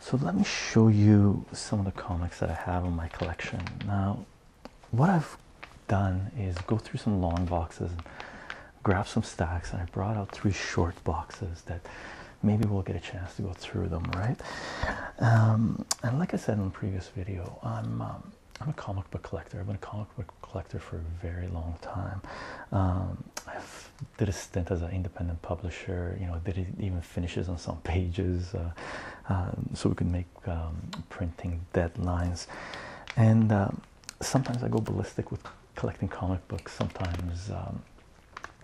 So let me show you some of the comics that I have in my collection. Now, what I've done is go through some long boxes, and grab some stacks, and I brought out three short boxes that maybe we'll get a chance to go through them, right? Um, and like I said in the previous video, I'm um, I'm a comic book collector. I've been a comic comic collector for a very long time. Um, I did a stint as an independent publisher. You know, did it even finishes on some pages, uh, um, so we could make um, printing deadlines. And sometimes I go ballistic with collecting comic books. Sometimes,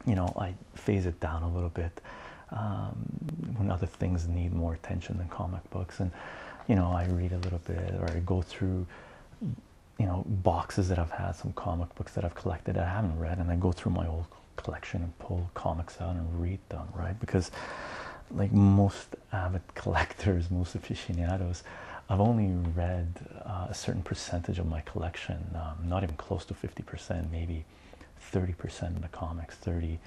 you know, I phase it down a little bit when other things need more attention than comic books. And you know, I read a little bit, or I go through you know boxes that I've had, some comic books that I've collected that I haven't read, and I go through my old collection and pull comics out and read them, right? Because like most avid collectors, most aficionados, I've only read uh, a certain percentage of my collection, um, not even close to 50%, maybe 30% of the comics, 30,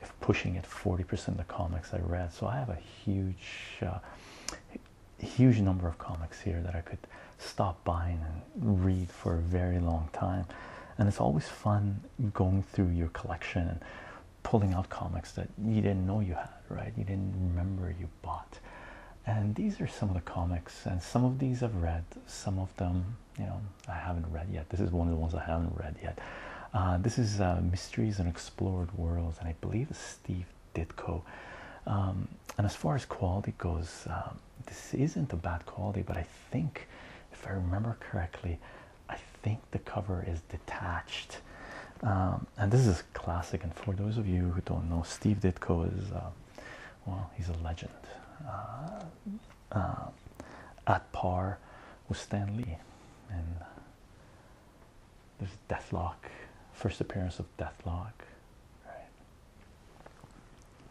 if pushing it, 40% of the comics I read. So I have a huge, uh, huge number of comics here that I could stop buying and read for a very long time. And it's always fun going through your collection and pulling out comics that you didn't know you had, right? You didn't remember you bought. And these are some of the comics, and some of these I've read, some of them, you know, I haven't read yet. This is one of the ones I haven't read yet. Uh, this is uh, Mysteries and Explored Worlds, and I believe it's Steve Ditko. Um, and as far as quality goes, um, this isn't a bad quality, but I think, if I remember correctly, I think the cover is detached. Um, and this is classic. And for those of you who don't know, Steve Ditko is, uh, well, he's a legend. Uh, uh, at par with Stan Lee there's Deathlok. first appearance of Deathlok. Right.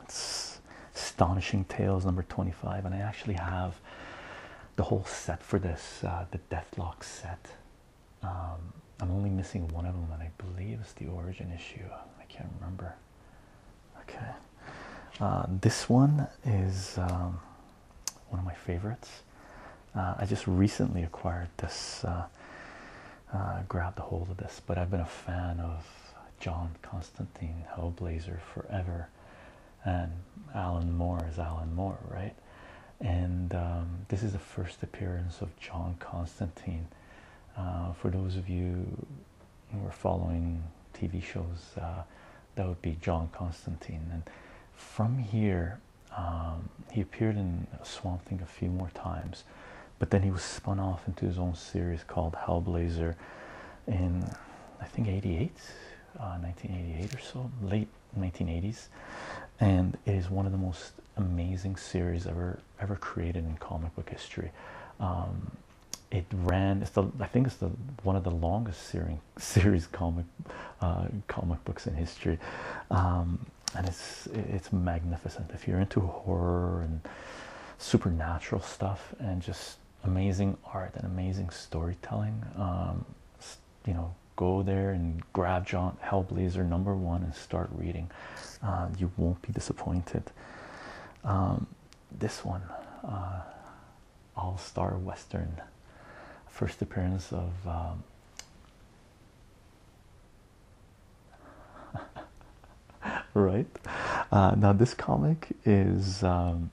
It's Astonishing Tales number 25, and I actually have the whole set for this, uh, the Deathlok set. Um, I'm only missing one of them, and I believe it's the origin issue. I can't remember. Okay, uh, this one is um, one of my favorites. Uh, I just recently acquired this, uh, uh, grabbed a hold of this, but I've been a fan of John Constantine Hellblazer forever, and Alan Moore is Alan Moore, right? And um, this is the first appearance of John Constantine. for those of you who are following TV shows, that would be John Constantine. And from here, um, he appeared in Swamp Thing a few more times, but then he was spun off into his own series called Hellblazer in I think 88, 1988 uh, or so, late 1980s, and it is one of the most amazing series ever ever created in comic book history. Um, it ran. It's the I think it's the one of the longest series comic uh, comic books in history um, and it's it's magnificent if you're into horror and supernatural stuff and just amazing art and amazing storytelling um, you know go there and grab John Hellblazer number one and start reading uh, you won't be disappointed um, this one uh, all-star western first appearance of right uh, now this comic is um,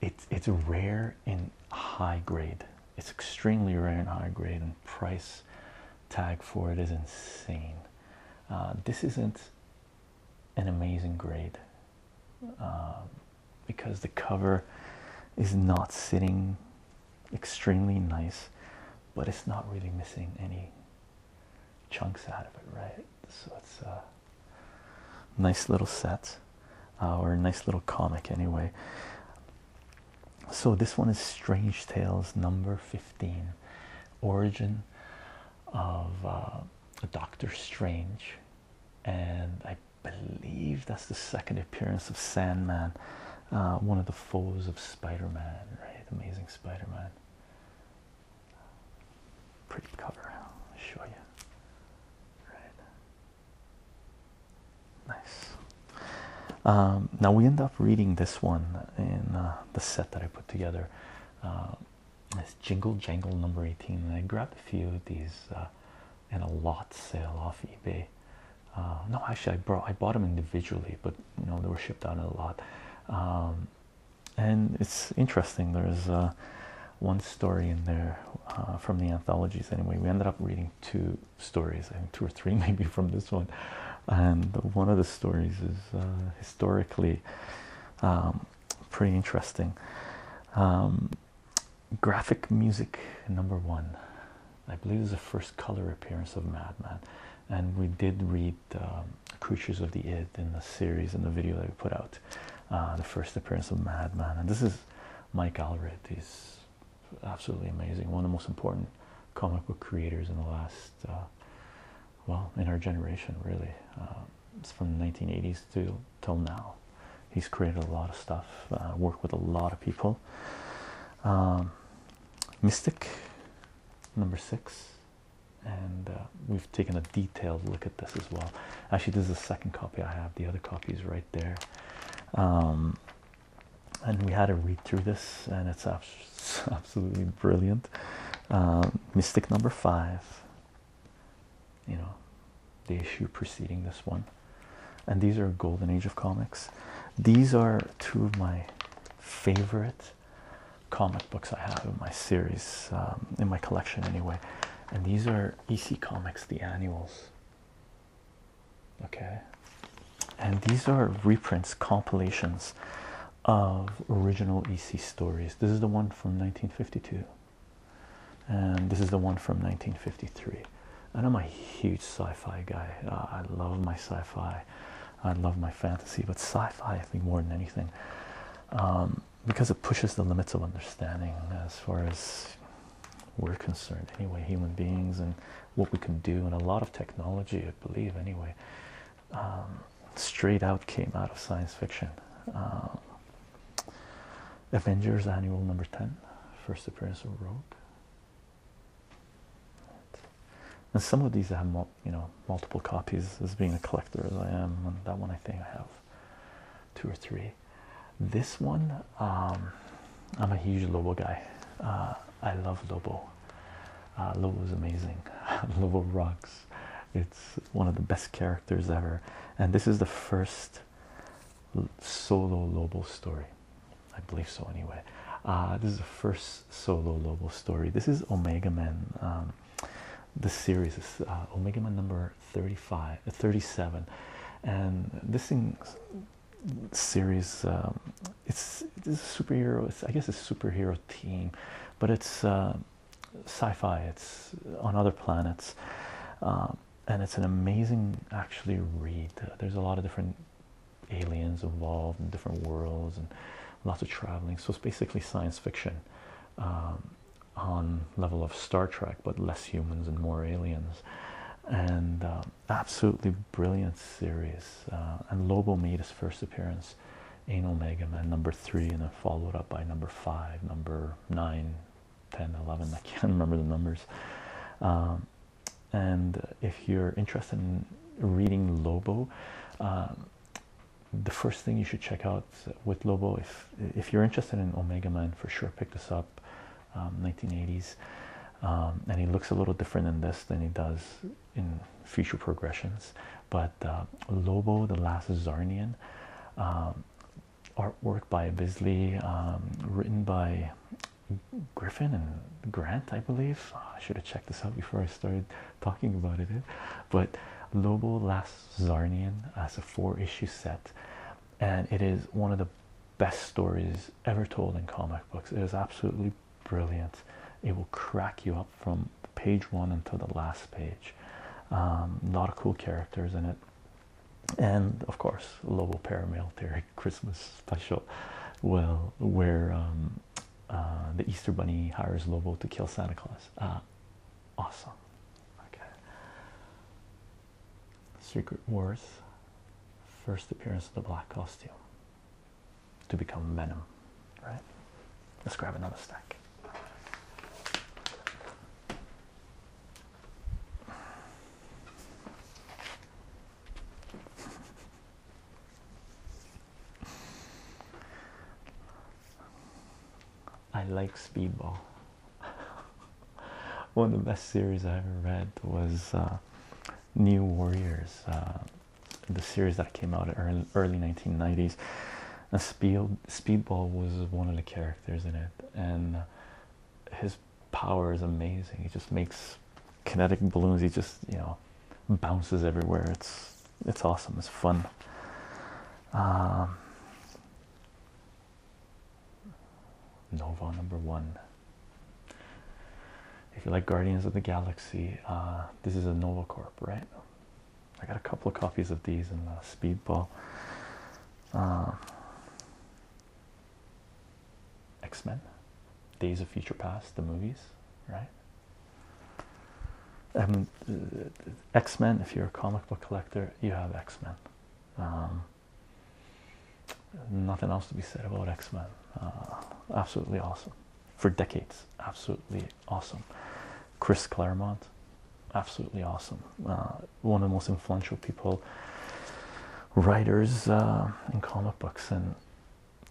it's it's rare in high grade it's extremely rare in high grade and price tag for it is insane uh, this isn't an amazing grade uh, because the cover is not sitting extremely nice, but it's not really missing any chunks out of it, right? So it's a nice little set, uh, or a nice little comic, anyway. So this one is Strange Tales number 15 Origin of uh, Doctor Strange, and I believe that's the second appearance of Sandman, uh, one of the foes of Spider Man, right? Amazing Spider Man. Pretty cover, I'll show you. Right. Nice. Um, now we end up reading this one in uh, the set that I put together. Uh, it's Jingle Jangle number 18, and I grabbed a few of these uh, and a lot sale off eBay. Uh, no, actually, I brought I bought them individually, but you they were shipped out in a lot. Um, and it's interesting. There's uh, one story in there uh, from the anthologies. Anyway, we ended up reading two stories, I think two or three maybe from this one. And one of the stories is historically um, pretty interesting. Um, graphic music number one. I believe is the first color appearance of Madman, and we did read Creatures of the Id in the series in the video that we put out. Uh, the first appearance of Madman, and this is Mike Alred. is absolutely amazing, one of the most important comic book creators in the last, uh, well, in our generation, really. Uh, it's from the 1980s to till now. He's created a lot of stuff, uh, worked with a lot of people. Um, Mystic, number six, and uh, we've taken a detailed look at this as well. Actually, this is the second copy I have. The other copy is right there. Um, and we had to read through this, and it's absolutely brilliant. Um, Mystic number five, you know, the issue preceding this one. And these are Golden Age of Comics. These are two of my favorite comic books I have in my series, um, in my collection anyway. And these are EC Comics, the annuals. Okay. And these are reprints, compilations of original EC stories. This is the one from 1952 and this is the one from 1953 and i'm a huge sci-fi guy uh, i love my sci-fi i love my fantasy but sci-fi i think more than anything um, because it pushes the limits of understanding as far as we're concerned anyway human beings and what we can do and a lot of technology i believe anyway um, straight out came out of science fiction um, Avengers Annual number 10, first appearance of Rogue. And some of these I have, you know, multiple copies as being a collector as I am. And that one I think I have two or three. This one, um, I'm a huge Lobo guy. Uh, I love Lobo. Uh, Lobo is amazing. Lobo rocks. It's one of the best characters ever. And this is the first solo Lobo story. I believe so, anyway. Uh, this is the first solo Lobo story. This is Omega Man. Um, this series is uh, Omega Man number 35, uh, 37, and this thing series um, it's, it's a superhero. I guess it's a superhero team, but it's sci-fi. It's on other planets. Um, and it's an amazing actually read. there's a lot of different aliens involved in different worlds and lots of traveling. So it's basically science fiction um, on level of Star Trek, but less humans and more aliens. And uh, absolutely brilliant series. Uh, and Lobo made his first appearance in Omega Man number three, and then followed up by number five, number nine, 10, 11, I can't remember the numbers. Um, and if you're interested in reading Lobo, um, the first thing you should check out with Lobo, if if you're interested in Omega Man, for sure pick this up, 1980s. Um, and he looks a little different in this than he does in future progressions. But uh, Lobo, the last Zarnian, artwork by Bisley, um, written by Griffin and Grant, I believe. Ah, I should have checked this out before I started talking about it. But Lobo Last Zarnian as a four issue set, and it is one of the best stories ever told in comic books. It is absolutely brilliant. It will crack you up from page one until the last page. a um, lot of cool characters in it, and of course, Lobo paramilitary. Christmas special. Well, where um, uh, the Easter Bunny hires Lobo to kill Santa Claus. Uh, awesome. Okay. Secret Wars. First appearance of the black costume to become Venom. Right? Let's grab another stack. I like Speedball. One of the best series I ever read was uh, New Warriors, uh, the series that came out in early, early 1990s. And Speed, Speedball was one of the characters in it, and his power is amazing. He just makes kinetic balloons. He just you know bounces everywhere. It's it's awesome. It's fun. Um, Nova number one. If you like Guardians of the Galaxy, uh, this is a Nova Corp, right? I got a couple of copies of these and the Speedball. Um, X Men, Days of Future Past, the movies, right? Um, X Men, if you're a comic book collector, you have X Men. Um, nothing else to be said about X Men. Uh, absolutely awesome for decades. Absolutely awesome. Chris Claremont, absolutely awesome. Uh, one of the most influential people, writers uh, in comic books. And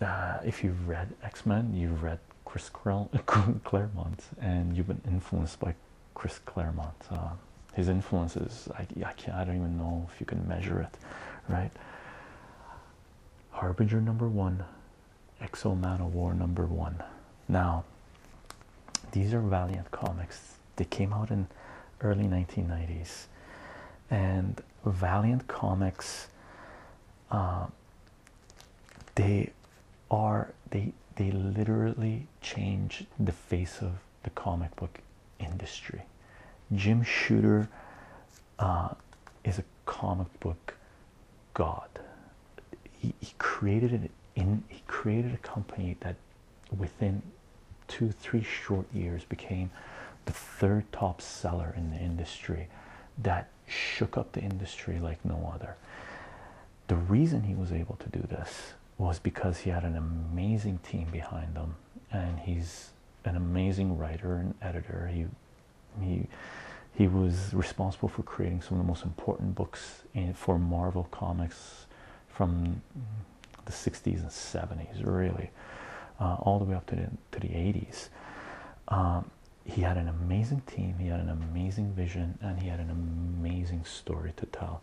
uh, if you've read X Men, you've read Chris Claremont, and you've been influenced by Chris Claremont. Uh, his influence is I, can't, I don't even know if you can measure it, right? Harbinger number one, Exo Man of War number one. Now, these are Valiant comics. They came out in early 1990s, and Valiant Comics. Uh, they are they they literally changed the face of the comic book industry. Jim Shooter uh, is a comic book god. He, he created an in he created a company that within two, three short years became the third top seller in the industry that shook up the industry like no other. The reason he was able to do this was because he had an amazing team behind him, and he's an amazing writer and editor. He he he was responsible for creating some of the most important books for Marvel Comics from the 60s and 70s, really, uh, all the way up to the, to the 80s. Um, he had an amazing team, he had an amazing vision, and he had an amazing story to tell.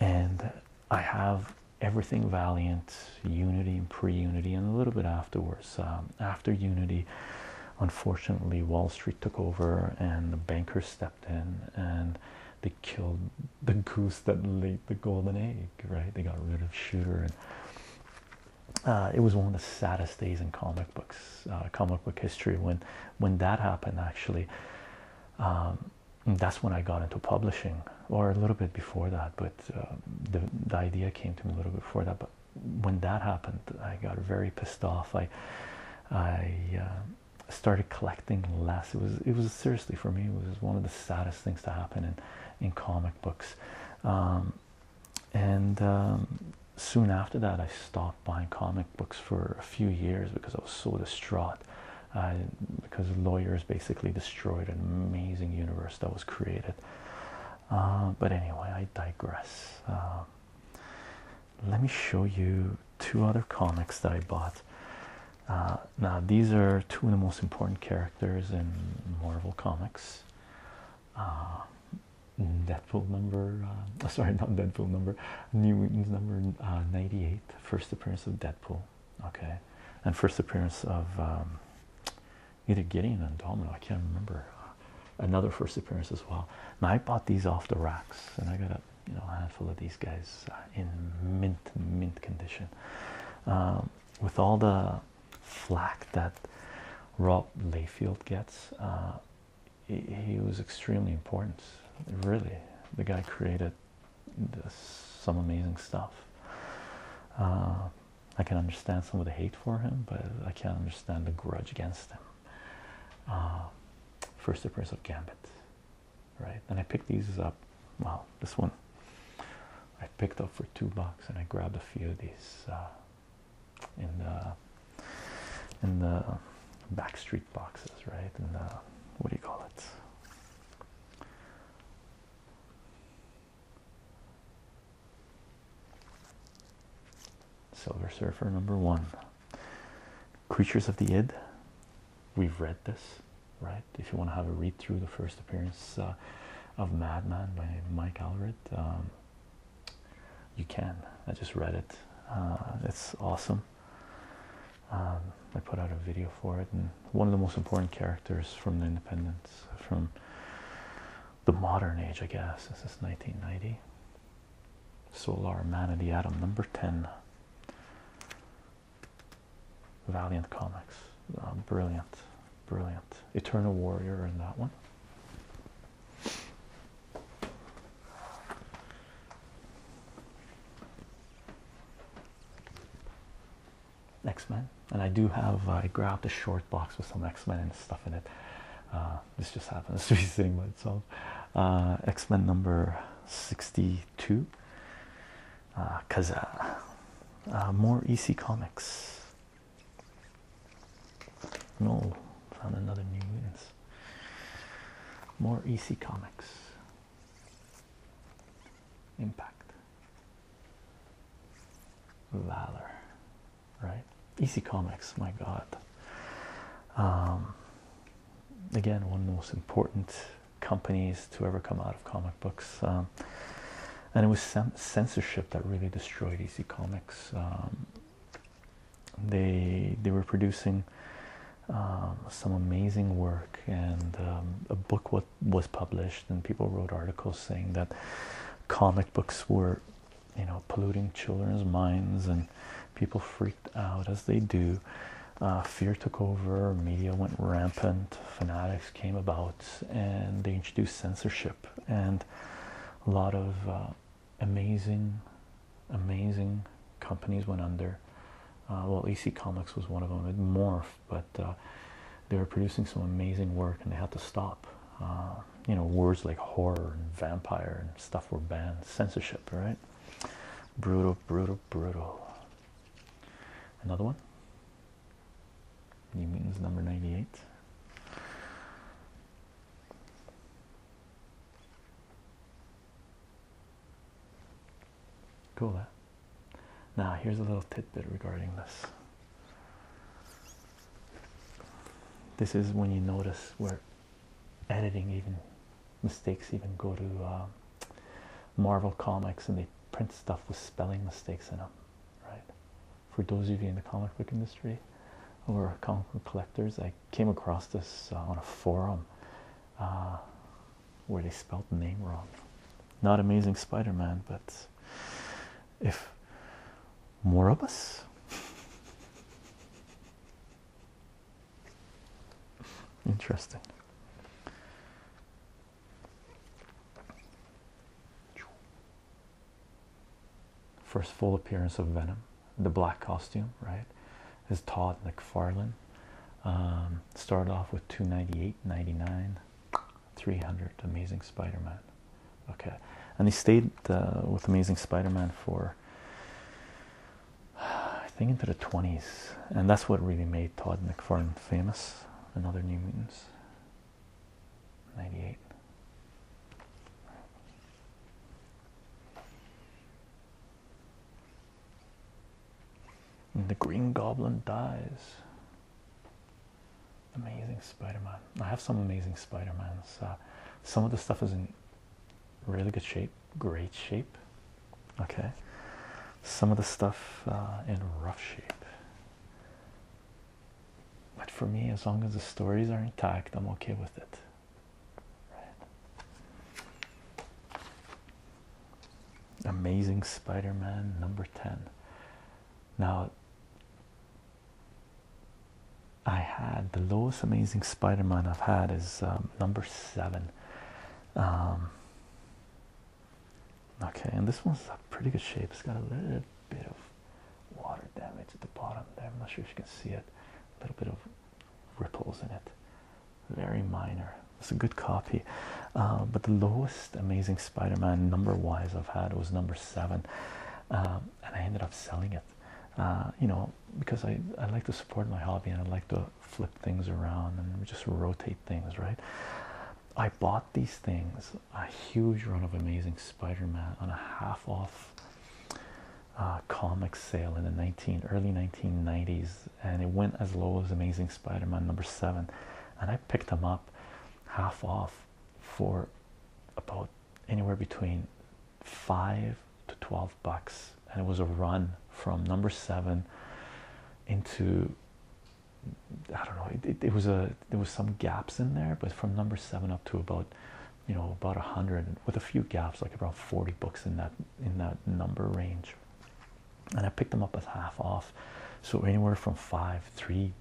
And I have everything Valiant, Unity, and pre Unity, and a little bit afterwards. Um, after Unity, unfortunately, Wall Street took over and the bankers stepped in and they killed the goose that laid the golden egg, right? They got rid of Shooter, and uh, it was one of the saddest days in comic books, uh, comic book history. When when that happened, actually, um, that's when I got into publishing, or a little bit before that. But um, the the idea came to me a little bit before that. But when that happened, I got very pissed off. I I uh, started collecting less. It was it was seriously for me it was one of the saddest things to happen in in comic books, um, and um, soon after that I stopped buying comic books for a few years because I was so distraught. because lawyers basically destroyed an amazing universe that was created. Uh, but anyway, I digress. Um, let me show you two other comics that I bought. Uh, now these are two of the most important characters in Marvel Comics. Uh, Deadpool number, uh, sorry, not Deadpool number, New Mutants number uh, 98, first appearance of Deadpool, okay, and first appearance of um, either Gideon and Domino, I can't remember, another first appearance as well. Now, I bought these off the racks and I got a you know a handful of these guys uh, in mint mint condition um, with all the flack that Rob Layfield gets uh, he, was extremely important really the guy created some amazing stuff uh, I can understand some of the hate for him but I can't understand the grudge against him first appearance of Gambit right? And I picked these up. Wow, this one I picked up for two bucks, and I grabbed a few of these uh, in the in the backstreet boxes, right? In the what do you call it? Silver Surfer number one. Creatures of the Id, we've read this, right? If you want to have a read through the first appearance uh, of Madman by Mike Alred, um, you can. I just read it. Uh, it's awesome. Um, I put out a video for it, and one of the most important characters from the Independence, from the modern age, I guess. This is 1990. Solar Man of the Atom, number 10. Valiant Comics. Oh, brilliant, brilliant. Eternal Warrior in that one. X-Men, and I do have. Uh, I grabbed a short box with some X-Men and stuff in it. Uh, this just happens to be sitting by itself. Uh, X-Men number sixty Two. because uh, uh, uh, more EC comics. No, found another new wins. More EC comics. Impact. Valor. Right? EC comics, my God. Um, again, one of the most important companies to ever come out of comic books. Um, and it was censorship that really destroyed EC Comics. Um, they they were producing um, some amazing work, and a book what was published, and people wrote articles saying that comic books were, you know, polluting children's minds, and people freaked out as they do, uh, fear took over, media went rampant, fanatics came about, and they introduced censorship and a lot of uh, amazing, amazing companies went under. Uh, well, EC Comics was one of them. It morphed, but they were producing some amazing work, and they had to stop. you know, words like horror and vampire and stuff were banned. Censorship, right? Brutal, brutal, brutal. Another one. New Mutants number 98. Cool. Eh? Now, here's a little tidbit regarding this. This is when you notice we're editing even mistakes even go to uh, Marvel Comics and they print stuff with spelling mistakes in them, right? For those of you in the comic book industry or comic book collectors, I came across this uh, on a forum uh, where they spelled the name wrong. Not Amazing Spider-Man, but if more of us. Interesting. First full appearance of Venom, the black costume, right? Is Todd McFarlane. Um, started off with 298, 99, 300. Amazing Spider Man. Okay. And he stayed uh, with Amazing Spider Man for I think into the 20s, and that's what really made Todd McFarlane famous. Another New Mutants, 98. the Green Goblin dies. Amazing Spider-Man. I have some amazing Spider-Mans. Uh, some of the stuff is in really good shape, great shape. Okay, some of the stuff uh, in rough shape. But for me, as long as the stories are intact, I'm okay with it. Right. Amazing Spider Man number 10. Now, I had the lowest Amazing Spider Man I've had is um, number 7. Um, Okay, and this one's a pretty good shape. It's got a little bit of water damage at the bottom there. I'm not sure if you can see it. A little bit of ripples in it. Very minor. It's a good copy. Uh, but the lowest Amazing Spider-Man number-wise I've had was number seven. Um, and I ended up selling it. Uh, you know, because I, I like to support my hobby and I like to flip things around and just rotate things, right? I bought these things a huge run of Amazing Spider Man on a half off uh, comic sale in the 19 early 1990s, and it went as low as Amazing Spider Man number seven. And I picked them up half off for about anywhere between five to 12 bucks, and it was a run from number seven into I don't know. It, was a there was some gaps in there, but from number seven up to about you know about a hundred with a few gaps, like around forty books in that in that number range. And I picked them up as half off, so anywhere from five, three,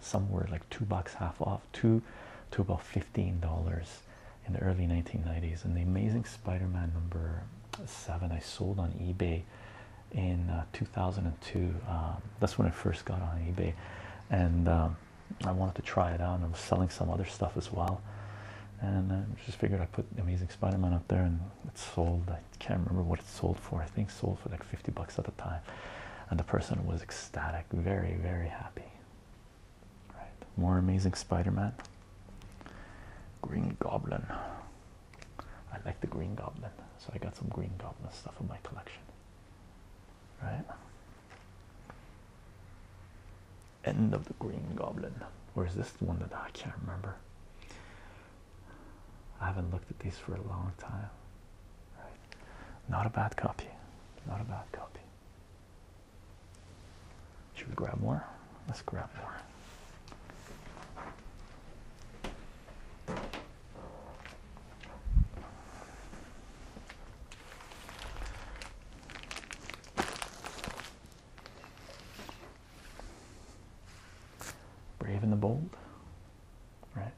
somewhere like two bucks half off, two to about fifteen dollars in the early 1990s. And the Amazing Spider-Man number seven I sold on eBay in uh, 2002. Um, that's when I first got on eBay, and um, I wanted to try it out. And I was selling some other stuff as well, and I just figured I put Amazing Spider-Man up there, and it sold. I can't remember what it sold for. I think sold for like 50 bucks at the time, and the person was ecstatic, very very happy. Right, more Amazing Spider-Man. Green Goblin. I like the Green Goblin, so I got some Green Goblin stuff in my collection. Right? End of the Green Goblin. Or is this one that I can't remember? I haven't looked at these for a long time. Right? Not a bad copy. Not a bad copy. Should we grab more? Let's grab more. Brave and the Bold, right?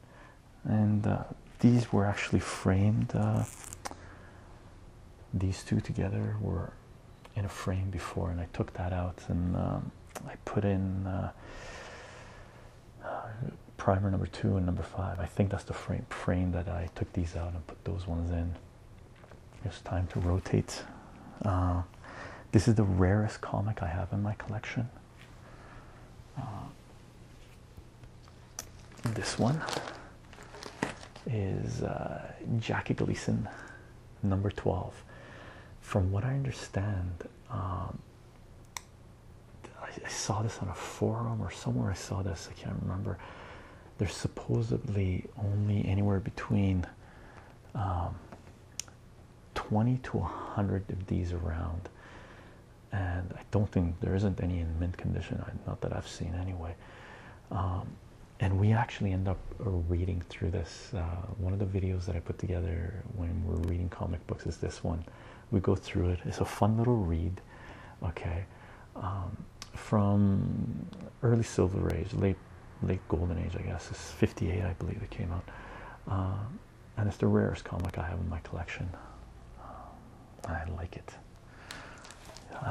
And uh, these were actually framed. Uh, these two together were in a frame before, and I took that out and um, I put in uh, primer number two and number five. I think that's the frame frame that I took these out and put those ones in. It's time to rotate. Uh, this is the rarest comic I have in my collection. Uh, this one is Jackie Gleason number 12 from what i understand um, I, saw this on a forum or somewhere i saw this i can't remember there's supposedly only anywhere between um, 20 to 100 of these around and i don't think there isn't any in mint condition not that i've seen anyway um, and we actually end up uh, reading through this. Uh, one of the videos that I put together when we're reading comic books is this one. We go through it. It's a fun little read, okay, um, from early Silver Age, late late Golden Age, I guess. It's '58, I believe it came out, uh, and it's the rarest comic I have in my collection. Um, I like it.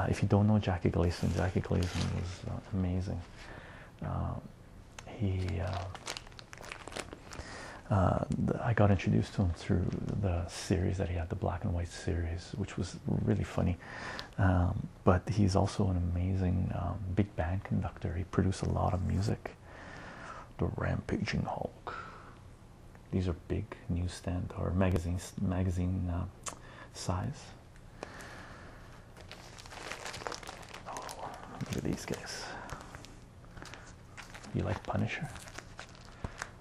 if you don't know Jackie Gleason, Jackie Gleason was amazing. Uh, he uh, uh, I got introduced to him through the series that he had, the black and white series, which was really funny. Um, but he's also an amazing um, big band conductor. He produced a lot of music. The Rampaging Hulk. These are big newsstand or magazine magazine size Oh, look at these guys. You like Punisher?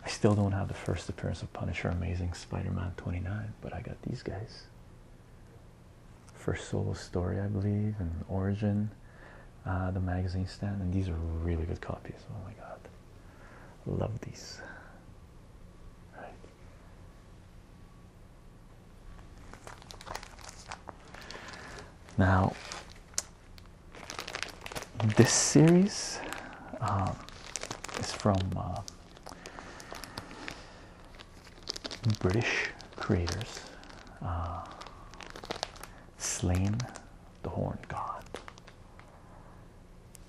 I still don't have the first appearance of Punisher, Amazing Spider-Man 29, but I got these guys. First solo story, I believe, and Origin, uh, the magazine stand, and these are really good copies. Oh my god, love these. Right. Now, this series um, is from uh, British creators, uh, Slain the Horn God.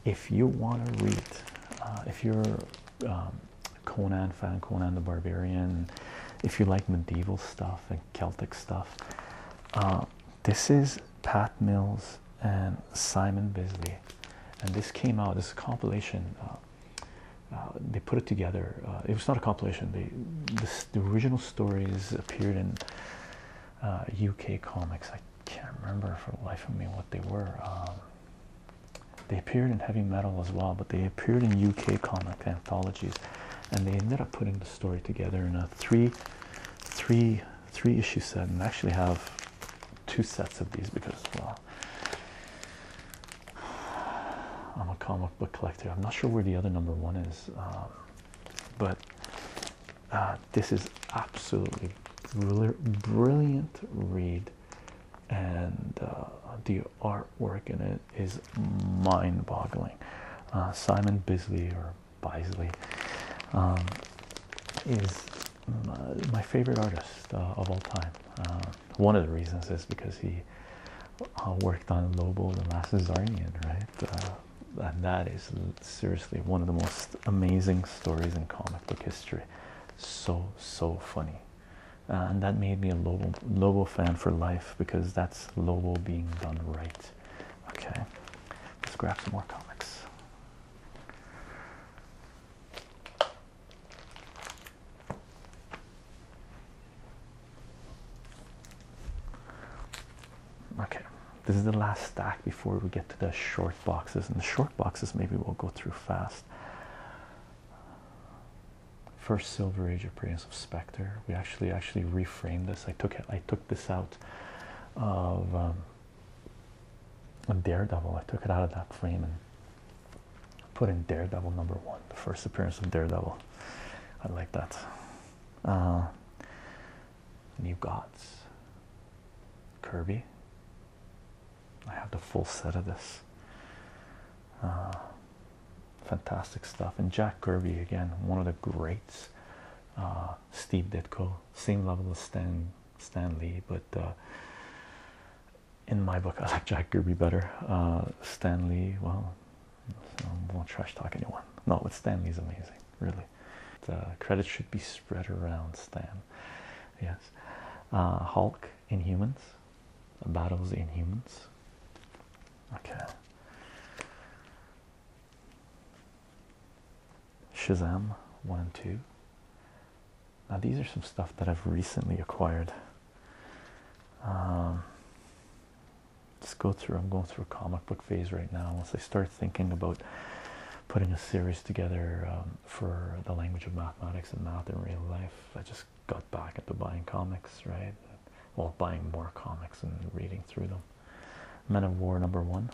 If you want to read, uh, if you're um, Conan fan, Conan the Barbarian. If you like medieval stuff and Celtic stuff, uh, this is Pat Mills and Simon Bisley, and this came out as a compilation. Uh, uh, they put it together. it was not a compilation. the original stories appeared in UK comics. I can't remember for the life of me what they were. Um, they appeared in heavy metal as well, but they appeared in UK comic anthologies, and they ended up putting the story together in a three, three, three issue set. And I actually have two sets of these because, well, I'm a comic book collector. I'm not sure where the other number one is, um, but uh, this is absolutely brilliant read and uh, the artwork in it is mind-boggling. Uh, Simon Bisley or Bisley um, is my favorite artist uh, of all time. one of the reasons is because he worked on Lobo the Last Zarnian, right? and that is seriously one of the most amazing stories in comic book history. So so funny. Uh, and that made me a Lobo Lobo fan for life because that's Lobo being done right. Okay, let's grab some more comics. Okay, this is the last stack before we get to the short boxes, and the short boxes maybe we'll go through fast. First Silver Age appearance of Spectre. We actually actually reframed this. I took I took this out of a um, Daredevil. I took it out of that frame and put in Daredevil number one. The first appearance of Daredevil. I like that. Uh, New Gods. Kirby. I have the full set of this. Uh, fantastic stuff. And Jack Kirby, again, one of the greats. Uh, Steve Ditko, same level as Stan, Stan Lee, but uh, in my book, I like Jack Kirby better. Uh, Stan Lee, well, I won't trash talk anyone. No, but Stan Lee's amazing, really. The credit should be spread around, Stan. Yes. Uh, Hulk, Inhumans, battles in humans. Okay. Shazam 1 and 2. Now, these are some stuff that I've recently acquired. Um, let go through, I'm going through a comic book phase right now. Once I start thinking about putting a series together um, for the language of mathematics and math in real life, I just got back into buying comics, right? Well, buying more comics and reading through them. Men of War number one,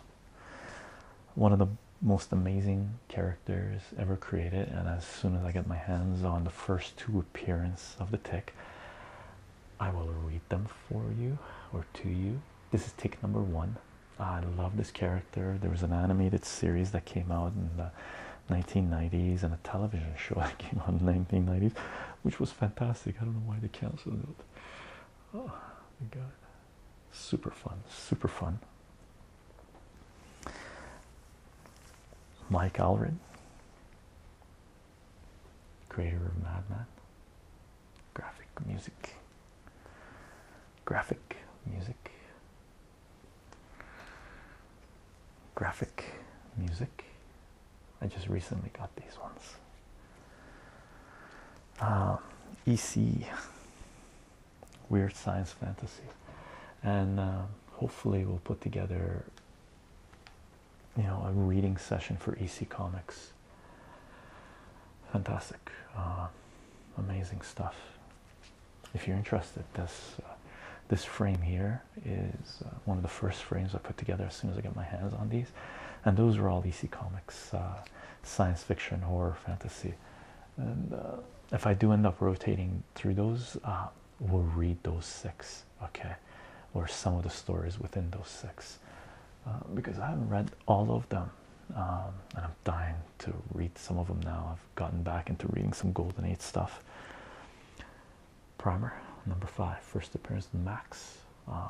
one of the most amazing characters ever created. And as soon as I get my hands on the first two appearance of the tick, I will read them for you or to you. This is tick number one. I love this character. There was an animated series that came out in 1990s and a television show that came on 1990s, which was fantastic. I don't know why they canceled it. Oh my god, super fun, super fun. Mike Alred, creator of Madman, graphic music, graphic music, graphic music. I just recently got these ones. Um, EC, weird science fantasy, and um, hopefully we'll put together, you know, a reading session for EC Comics. Fantastic, uh, amazing stuff if you're interested this uh, this frame here is uh, one of the first frames I put together as soon as I got my hands on these and those were all DC comics uh, science fiction horror fantasy and if I do end up rotating through those we'll read those six okay or some of the stories within those six because I haven't read all of them um, and I'm dying to read some of them now I've gotten back into reading some Golden Age stuff. Primer number five, first appearance of Max, uh,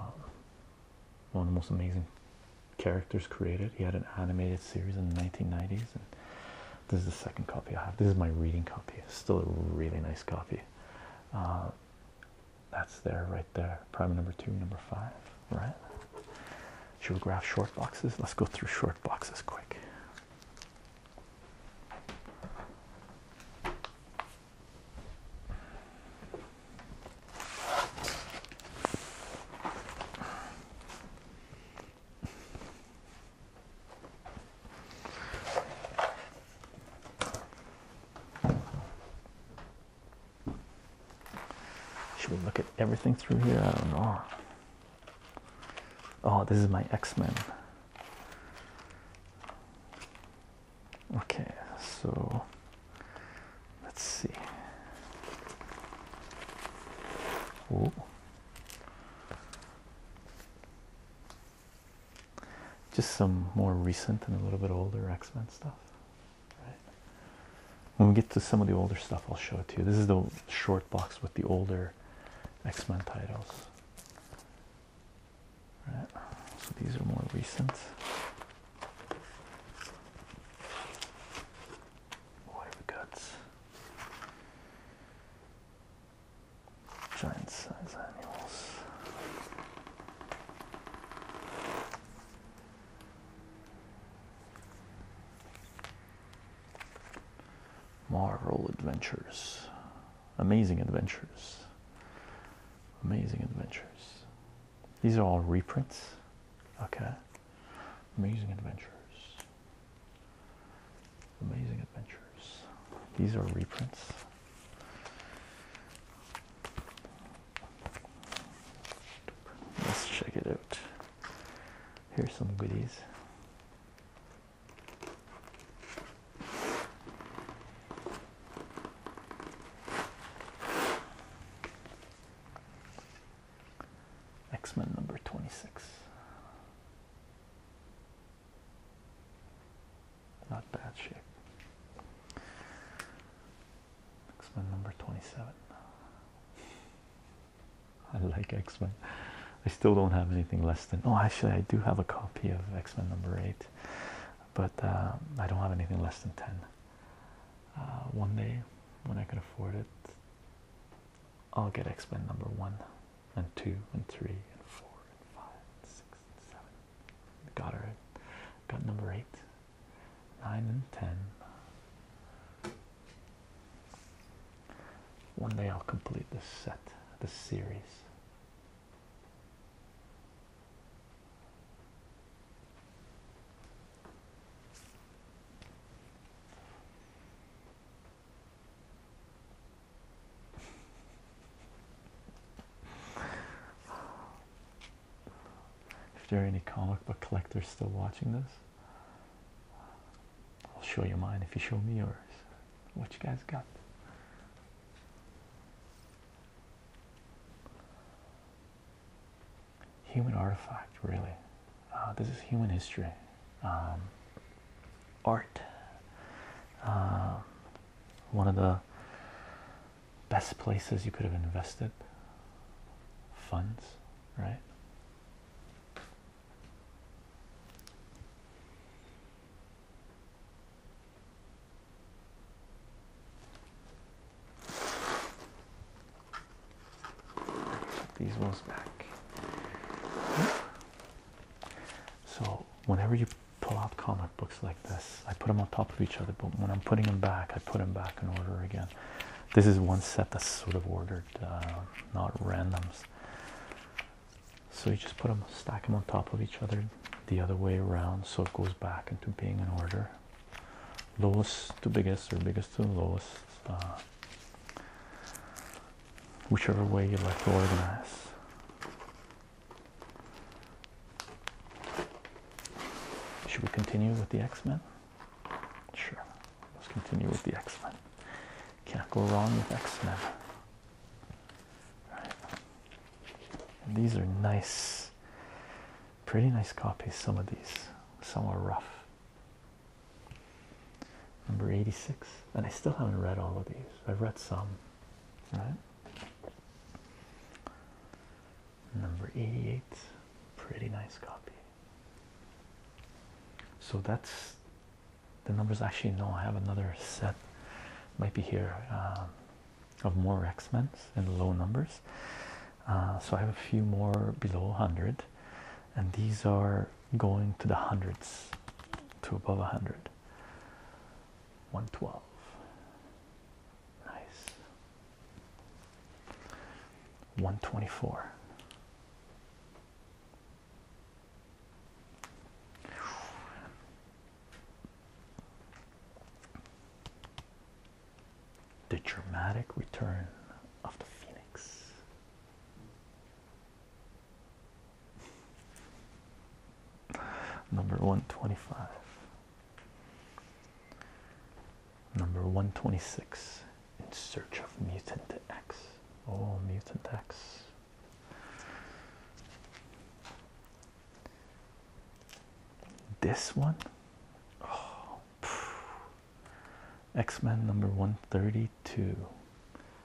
one of the most amazing characters created. He had an animated series in the 1990s, and this is the second copy I have. This is my reading copy. still a really nice copy. Uh, that's there, right there. Primer number two, number five, right? Geograph short boxes. Let's go through short boxes quick. Should we look at everything through here? I don't know. Oh, this is my X Men. Okay, so let's see. Just some more recent and a little bit older X Men stuff. When we get to some of the older stuff, I'll show it to you. This is the short box with the older X Men titles. So these are more recent. What have we got? Giant sized annuals. Marvel Adventures. Amazing Adventures. Amazing Adventures. These are all reprints. Okay. Amazing Adventures. Amazing Adventures. These are reprints. Let's check it out. Here's some goodies. X-Men number 26. Not bad shape. X-Men number 27. I like X Men. I still don't have anything less than. Oh, actually, I do have a copy of X Men number eight, but uh, I don't have anything less than ten. Uh, one day, when I can afford it, I'll get X Men number one, and two, and three, and four, and five, and six, and seven. Got her. Got number eight, nine, and ten. One day I'll complete this set, this series. If there are any comic book collectors still watching this, I'll show you mine if you show me yours. What you guys got? Human artifact, really. Uh, this is human history, um, art. Um, one of the best places you could have invested funds, right? These ones back. So whenever you pull out comic books like this, I put them on top of each other. But when I'm putting them back, I put them back in order again. This is one set that's sort of ordered, uh, not randoms. So you just put them, stack them on top of each other the other way around so it goes back into being in order. Lowest to biggest or biggest to lowest. Uh, whichever way you like to organize. Should we continue with the X-Men? Sure. Let's continue with the X-Men. Can't go wrong with X Men. these are nice, pretty nice copies. Some of these, some are rough. Number 86, and I still haven't read all of these. I've read some, right? Number 88, pretty nice copy. So that's the numbers actually no i have another set might be here uh, of more x men in low numbers uh, so i have a few more below 100 and these are going to the hundreds to above 100 112 nice 124 the dramatic return of the Phoenix. Number 125. Number 126. In search of mutant X. Oh, mutant X. This one, oh, X Men number 132.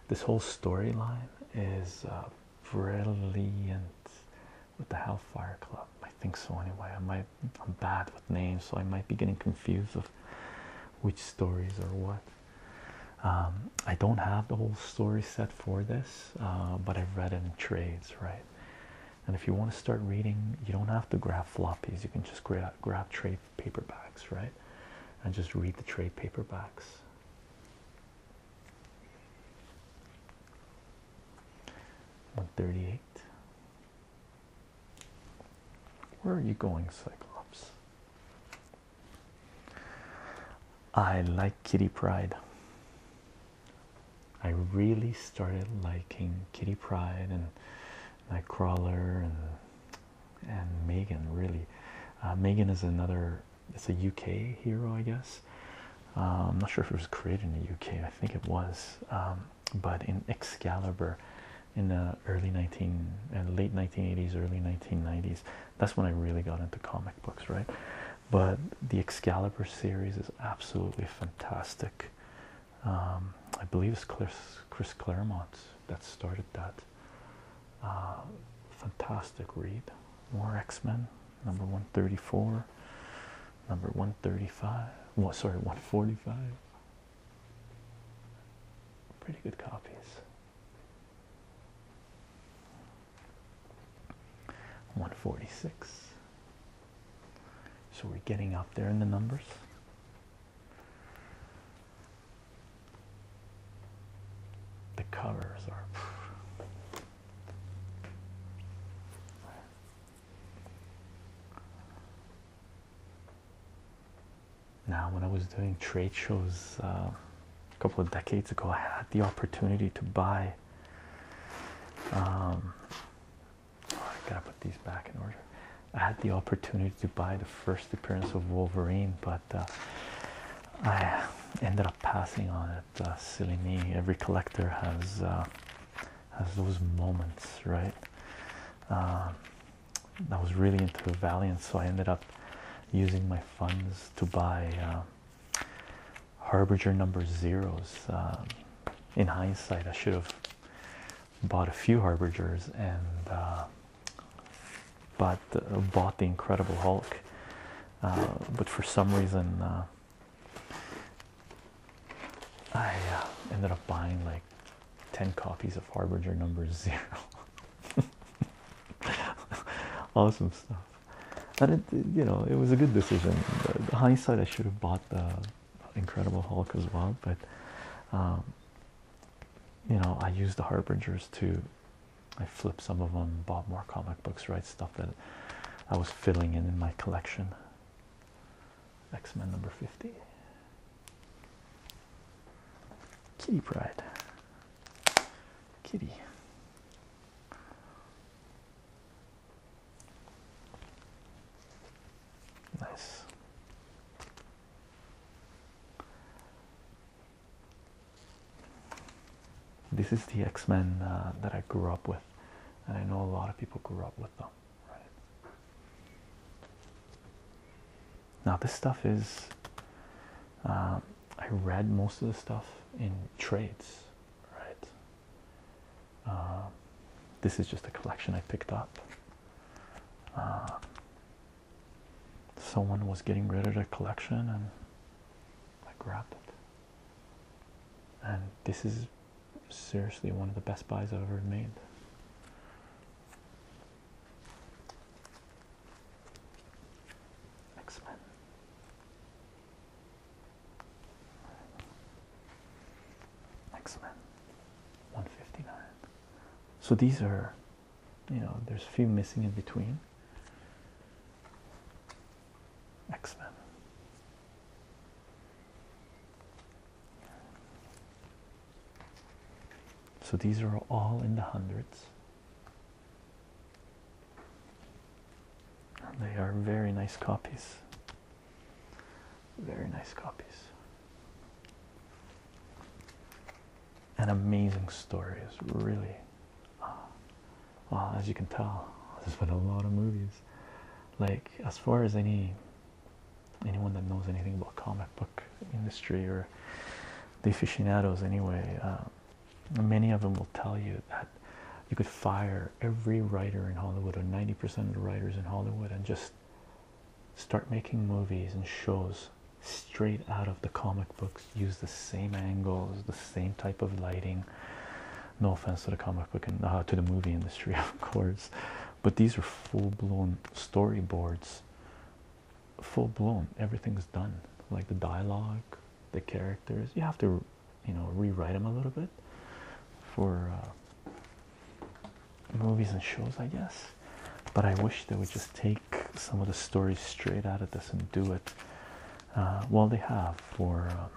This whole storyline is uh, brilliant with the Hellfire Club. I think so, anyway. I might, I'm bad with names, so I might be getting confused of which stories or what. Um, I don't have the whole story set for this, uh, but I've read it in trades, right? And if you want to start reading, you don't have to grab floppies. You can just grab trade paperbacks, right? And just read the trade paperbacks. One thirty-eight. Where are you going, Cyclops? I like Kitty Pride. I really started liking Kitty Pride and Nightcrawler and and Megan really. Uh, Megan is another. It's a UK hero, I guess. I'm um, not sure if it was created in the UK. I think it was, um, but in Excalibur, in the early 19 and uh, late 1980s, early 1990s, that's when I really got into comic books, right? But the Excalibur series is absolutely fantastic. Um, I believe it's Chris, Chris Claremont that started that. Uh, fantastic read. More X Men, number 134, number 135, well, sorry, 145. Pretty good copies. 146. So we're getting up there in the numbers. The covers are now when I was doing trade shows uh, a couple of decades ago, I had the opportunity to buy. Um, oh, I gotta put these back in order. I had the opportunity to buy the first appearance of Wolverine, but uh, I ended up passing on it. Uh, silly me! Every collector has has those moments, right? Um, I was really into Valiant, so I ended up using my funds to buy uh, Harbinger number zeros. Uh, in hindsight, I should have bought a few Harbingers and uh, bought, uh, the Incredible Hulk, but for some reason, I ended up buying like 10 copies of Harbinger number zero. awesome stuff. And you know, it was a good decision. The, hindsight, I should have bought the Incredible Hulk as well, but um, you know, I used the Harbingers to. I flipped some of them, bought more comic books, right? Stuff that I was filling in in my collection. X Men number 50. Kitty Pride. Kitty. Nice. This is the X Men uh, that I grew up with, and I know a lot of people grew up with them, right? Now, this stuff is, um, I read most of the stuff in trades, right? Um, this is just a collection I picked up. Um, someone was getting rid of their collection and I grabbed it. And this is seriously one of the best buys I've ever made. X-Men. X-Men 159. So these are, you know, there's a few missing in between. X-Men. So these are all in the hundreds they are very nice copies. Very nice copies. An amazing story is really, uh, as you can tell, this is with a lot of movies. Like as far as any anyone that knows anything about comic books industry or the aficionados anyway uh, many of them will tell you that you could fire every writer in hollywood or 90% of the writers in hollywood and just start making movies and shows straight out of the comic books use the same angles the same type of lighting no offense to the comic book and uh, to the movie industry of course but these are full-blown storyboards full blown everything's done like the dialogue the characters you have to you know rewrite them a little bit for uh, movies and shows I guess but I wish they would just take some of the stories straight out of this and do it uh, well they have for um,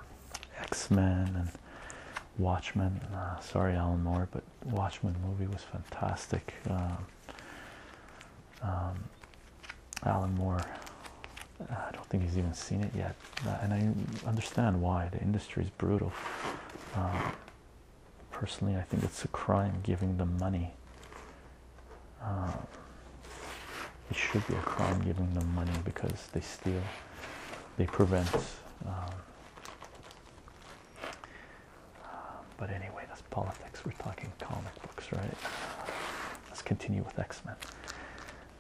X-Men and Watchmen uh, sorry Alan Moore but Watchmen movie was fantastic um, um, Alan Moore. Uh, I don't think he's even seen it yet, uh, and I understand why the industry is brutal. Um, personally, I think it's a crime giving them money. Um, it should be a crime giving them money because they steal, they prevent but anyway, that's politics. We're talking comic books, right? Let's continue with X Men.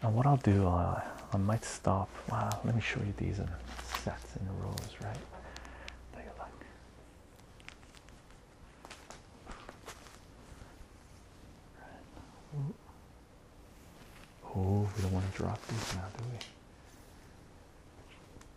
Now, what I'll do, uh, I might stop. Wow, let me show you these sets in rows, right? Take a look. Right. Oh, we don't want to drop these now, do we?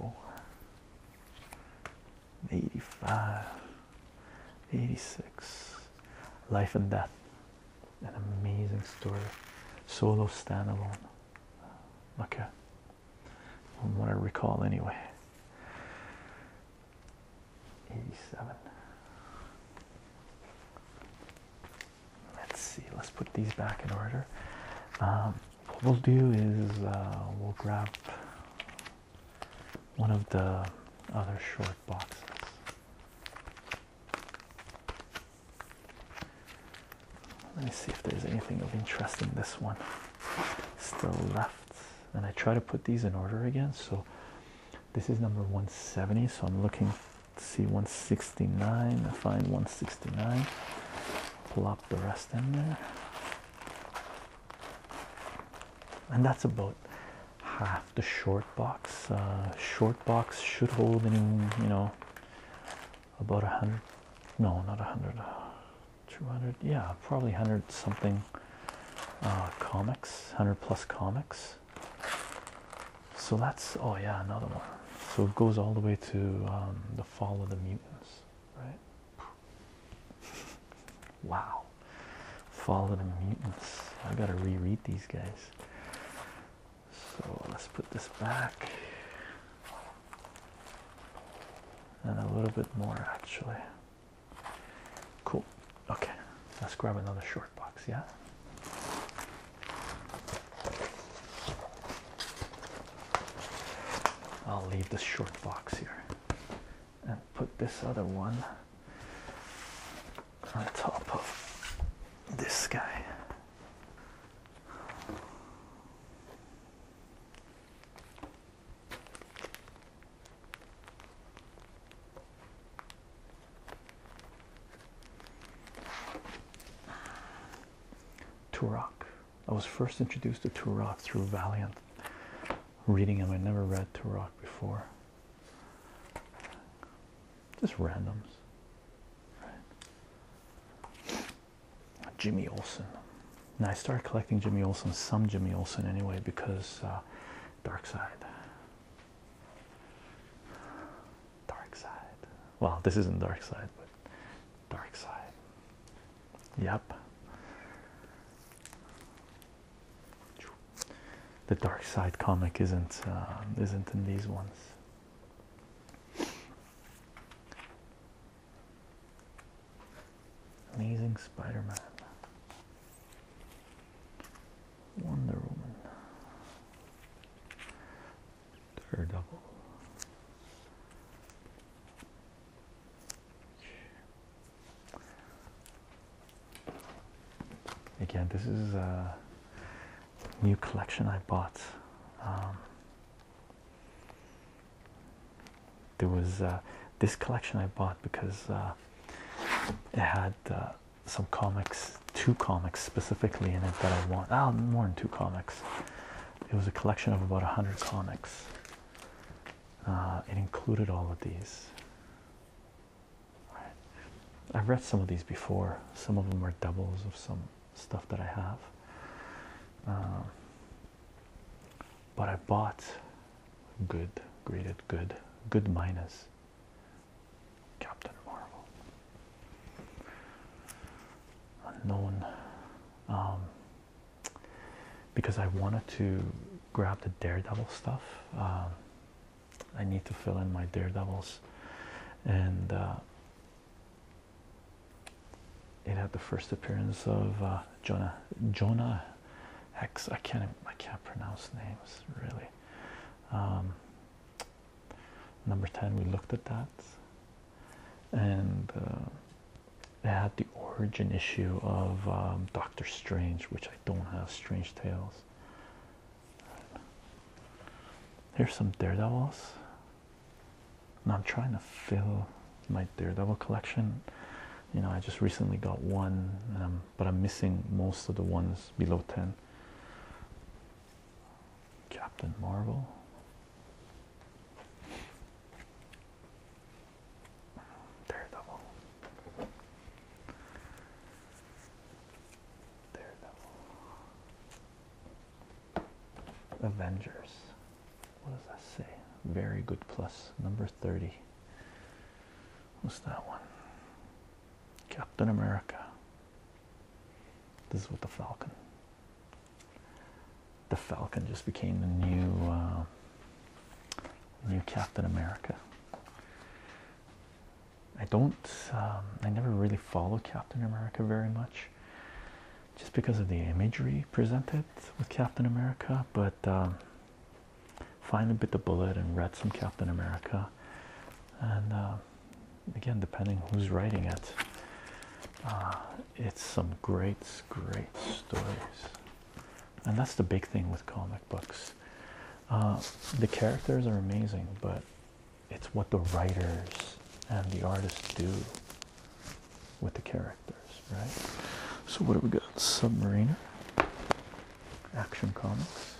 84, 85, 86. Life and Death. An amazing story. Solo stand-alone. Okay. From what to recall, anyway. 87 let's see let's put these back in order um, what we'll do is uh, we'll grab one of the other short boxes let me see if there's anything of interest in this one still left and I try to put these in order again so this is number 170 so I'm looking Let's see 169 find 169 Pull up the rest in there and that's about half the short box uh, short box should hold in you know about a hundred no not a hundred uh, 200 yeah probably 100 something uh, comics 100 plus comics so that's oh yeah another one so it goes all the way to um, the fall of the mutants right wow fall of the mutants i gotta reread these guys so let's put this back and a little bit more actually cool okay let's grab another short box yeah I'll leave the short box here and put this other one on top of this guy. Turok. I was first introduced to Turok through Valiant. Reading him, I never read Turok before. Just randoms. Jimmy Olsen. Now I started collecting Jimmy Olsen, some Jimmy Olsen anyway, because uh, Dark Side. Dark side. Well, this isn't dark side, but dark side. Yep. The dark side comic isn't um, isn't in these ones. Amazing Spider-Man. Wonder Woman. Daredevil. Again, this is a new collection I bought. Um, there was uh, this collection I bought because uh, it had uh, some comics two comics specifically in it that I want. oh, ah, more than two comics. It was a collection of about a hundred comics. Uh, it included all of these. I've read some of these before. Some of them are doubles of some stuff that I have. Um, but I bought good, graded good, good minus Captain Marvel. Unknown. Um, because I wanted to grab the Daredevil stuff. Um, I need to fill in my Daredevils. And uh, it had the first appearance of uh, Jonah. Jonah Hex. I can't. I can't pronounce names really. Um, Number 10, we looked at that, and uh, it had the origin issue of um, Doctor Strange, which I don't have Strange Tales. Here's some Daredevils. Now I'm trying to fill my Daredevil collection. You know, I just recently got one, but I'm missing most of the ones below 10. Captain Marvel. Daredevil. Daredevil. Avengers. What does that say? Very good plus. Number 30. What's that one? Captain America. This is with the Falcon. The Falcon just became the new uh, new Captain America. I don't. Um, I never really followed Captain America very much, just because of the imagery presented with Captain America. But um, finally bit the bullet and read some Captain America, and um, again depending who's writing it ah, it's some great great stories and that's the big thing with comic books uh, the characters are amazing but it's what the writers and the artists do with the characters right so what have we got submariner action comics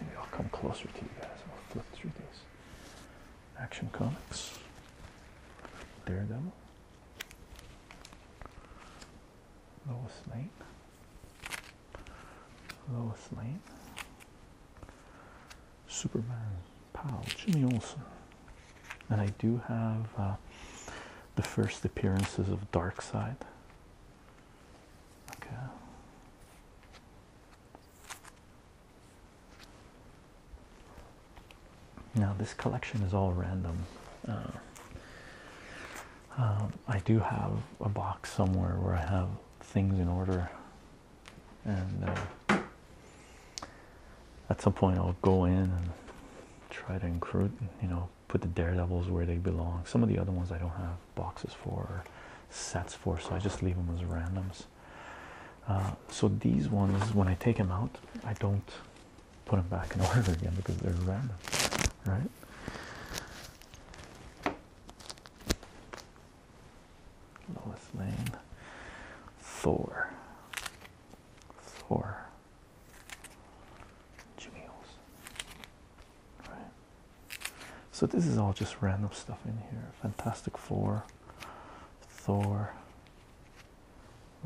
maybe i'll come closer to you guys i'll flip through these Action Comics, Daredevil, Lois Lane, Lois Lane, Superman, Powell, Jimmy Olsen, and I do have uh, the first appearances of Darkseid. Okay. Now, this collection is all random. Uh, um, I do have a box somewhere where I have things in order, and uh, at some point I'll go in and try to include, you know, put the daredevils where they belong. Some of the other ones I don't have boxes for or sets for, so I just leave them as randoms. Uh, so these ones, when I take them out, I don't put them back in order again because they're random, right? Lois Lane, Thor, Thor, Jimmy right? So this is all just random stuff in here. Fantastic Four, Thor,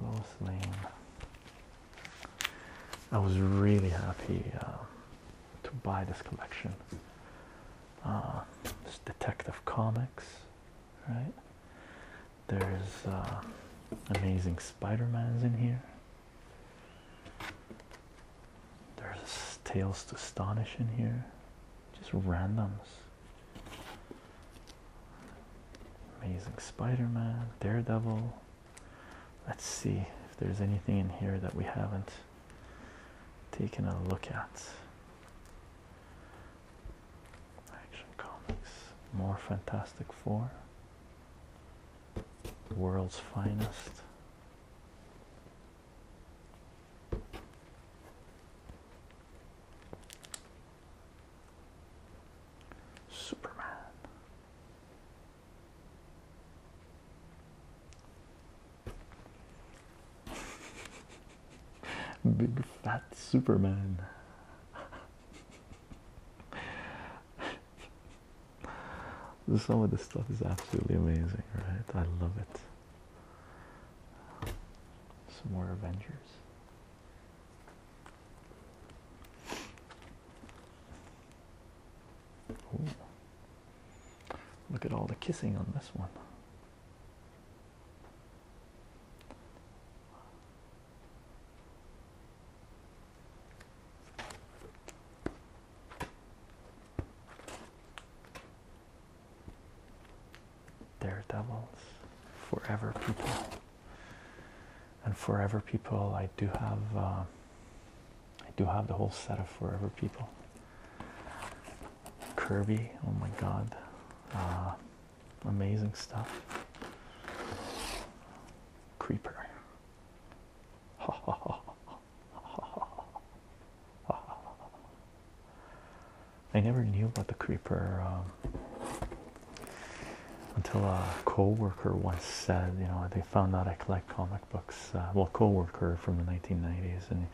Lois Lane. I was really happy um, to buy this collection. Uh, it's Detective Comics, right? There's uh, Amazing Spider-Man's in here. There's Tales to Astonish in here. Just randoms. Amazing Spider-Man, Daredevil. Let's see if there's anything in here that we haven't taken a look at. Action Comics, more Fantastic Four, World's Finest, Superman. Big fat Superman. Some of this stuff is absolutely amazing, right? I love it. Some more Avengers. Look at all the kissing on this one. Daredevils, Forever People, and Forever People. I do have, uh, I do have the whole set of Forever People. Kirby, oh my God, uh, amazing stuff. Creeper. I never knew about the creeper um, until a co-worker once said, you know, they found out I collect comic books. Uh, well, co-worker from the 1990s, and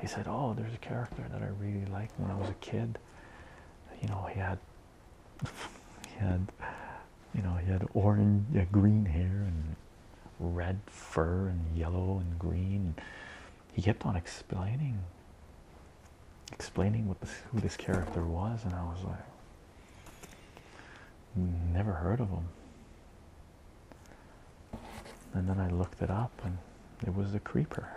he said, "Oh, there's a character that I really liked when I was a kid. You know, he had, he had, you know, he had orange, green hair and red fur and yellow and green." he kept on explaining explaining who this character was and I was like never heard of him and then I looked it up and it was the creeper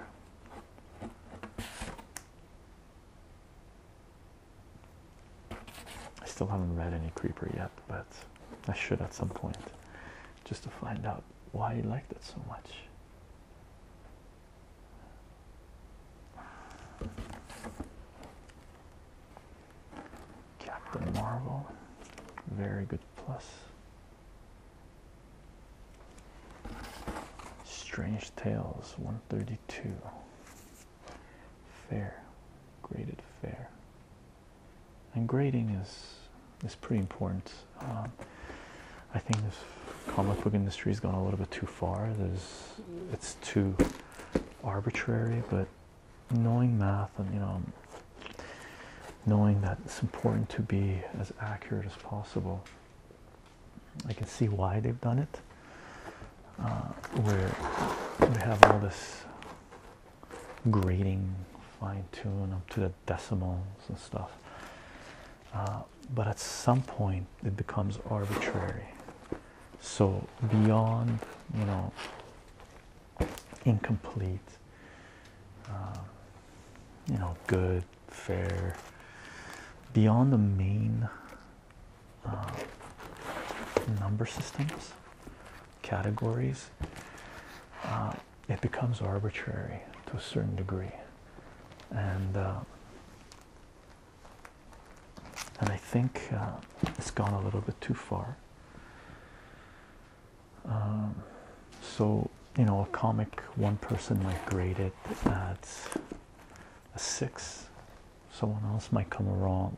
I still haven't read any creeper yet but I should at some point just to find out why you liked it so much. Captain Marvel, very good plus. Strange Tales 132. Fair, graded fair and grading is is pretty important. Um, I think this comic book industry has gone a little bit too far. it's too arbitrary, but knowing math and you know knowing that it's important to be as accurate as possible. I can see why they've done it. Uh, where we have all this grading fine tune up to the decimals and stuff. Uh, but at some point it becomes arbitrary. So beyond, you know, incomplete, uh, you know, good, fair, beyond the main uh, number systems, categories, it becomes arbitrary to a certain degree and uh, and I think uh, it's gone a little bit too far um, so you know a comic one person might grade it at a six someone else might come along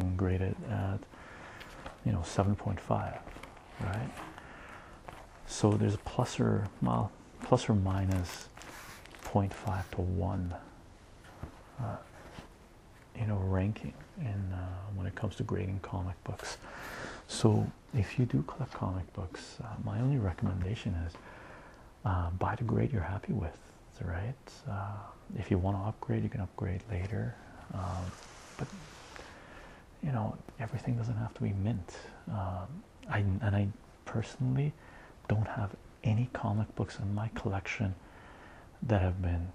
and grade it at you know 7.5 right? So there's a plus or well, plus or minus 0.5 to 1, uh, you know, ranking in uh, when it comes to grading comic books. So if you do collect comic books, uh, my only recommendation is uh, buy the grade you're happy with, right? if you want to upgrade, you can upgrade later. Um, but you know everything doesn't have to be mint um, I and I personally don't have any comic books in my collection that have been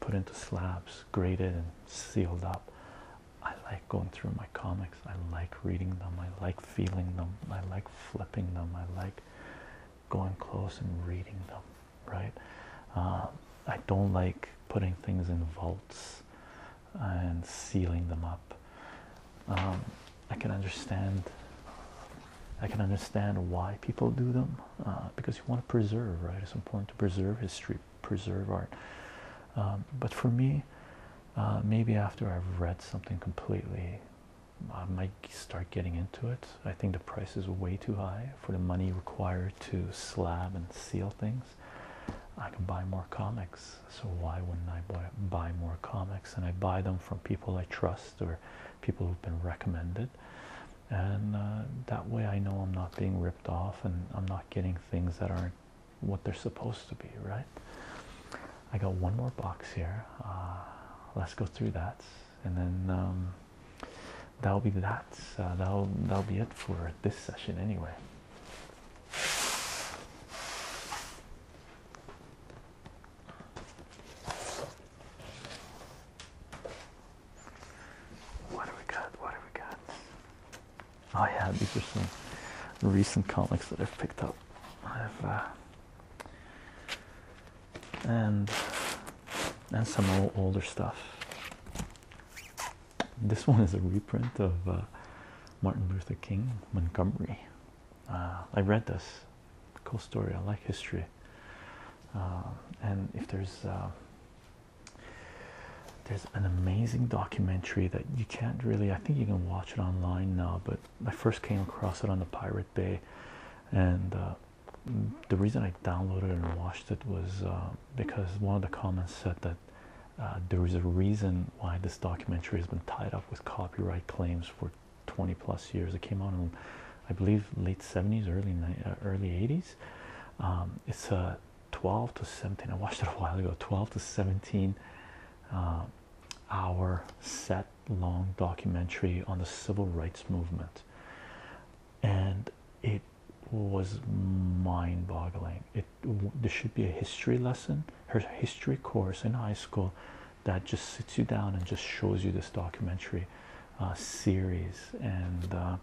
put into slabs graded and sealed up I like going through my comics I like reading them I like feeling them I like flipping them I like going close and reading them right um, I don't like putting things in vaults and sealing them up. Um, I can understand. I can understand why people do them uh, because you want to preserve, right? It's important to preserve history, preserve art. Um, but for me, uh, maybe after I've read something completely, I might start getting into it. I think the price is way too high for the money required to slab and seal things i can buy more comics so why wouldn't i buy, more comics and i buy them from people i trust or people who've been recommended and uh, that way i know i'm not being ripped off and i'm not getting things that aren't what they're supposed to be right i got one more box here uh, let's go through that and then um, that'll be that. Uh, that'll that'll be it for this session anyway. What do we got? What do we got? Oh yeah, these are some recent comics that I've picked up. I've uh, and and some old, older stuff. This one is a reprint of uh, Martin Luther King Montgomery. Uh, I read this. Cool story. I like history. Uh, and if there's there's an amazing documentary that you can't really I think you can watch it online now but I first came across it on the Pirate Bay and the reason I downloaded and watched it was because one of the comments said that uh, there is a reason why this documentary has been tied up with copyright claims for 20 plus years. It came out in, I believe, late 70s, early uh, early 80s. Um, it's a uh, 12 to 17. I watched it a while ago. 12 to 17 hour set long documentary on the civil rights movement, and it was mind boggling. It there should be a history lesson, her history course in high school that just sits you down and just shows you this documentary uh, series and uh,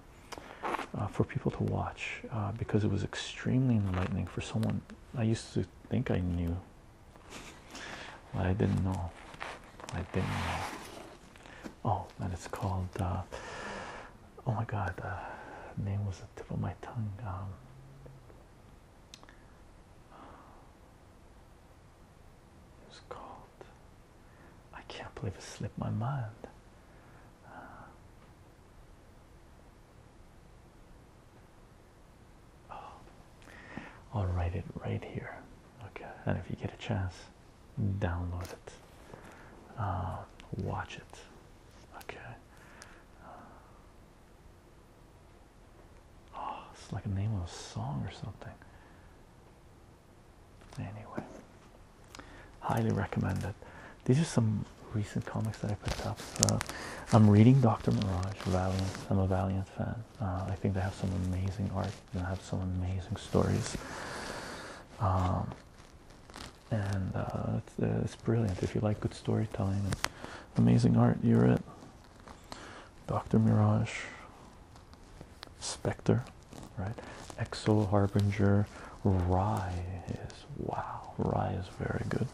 uh, for people to watch because it was extremely enlightening for someone I used to think I knew, I didn't know. I didn't know oh and it's called uh, oh my god the name was the tip of my tongue um, it's called I can't believe it slipped my mind uh, oh, I'll write it right here okay and if you get a chance download it, uh, watch it. Okay. Uh, oh, it's like a name of a song or something. Anyway, highly recommend it. These are some recent comics that I picked up. Uh, I'm reading Dr. Mirage, Valiant. I'm a Valiant fan. Uh, I think they have some amazing art. They have some amazing stories. Um, and uh, uh, it's, brilliant if you like good storytelling and amazing art you're at dr mirage spectre right exo harbinger rye is wow rye is very good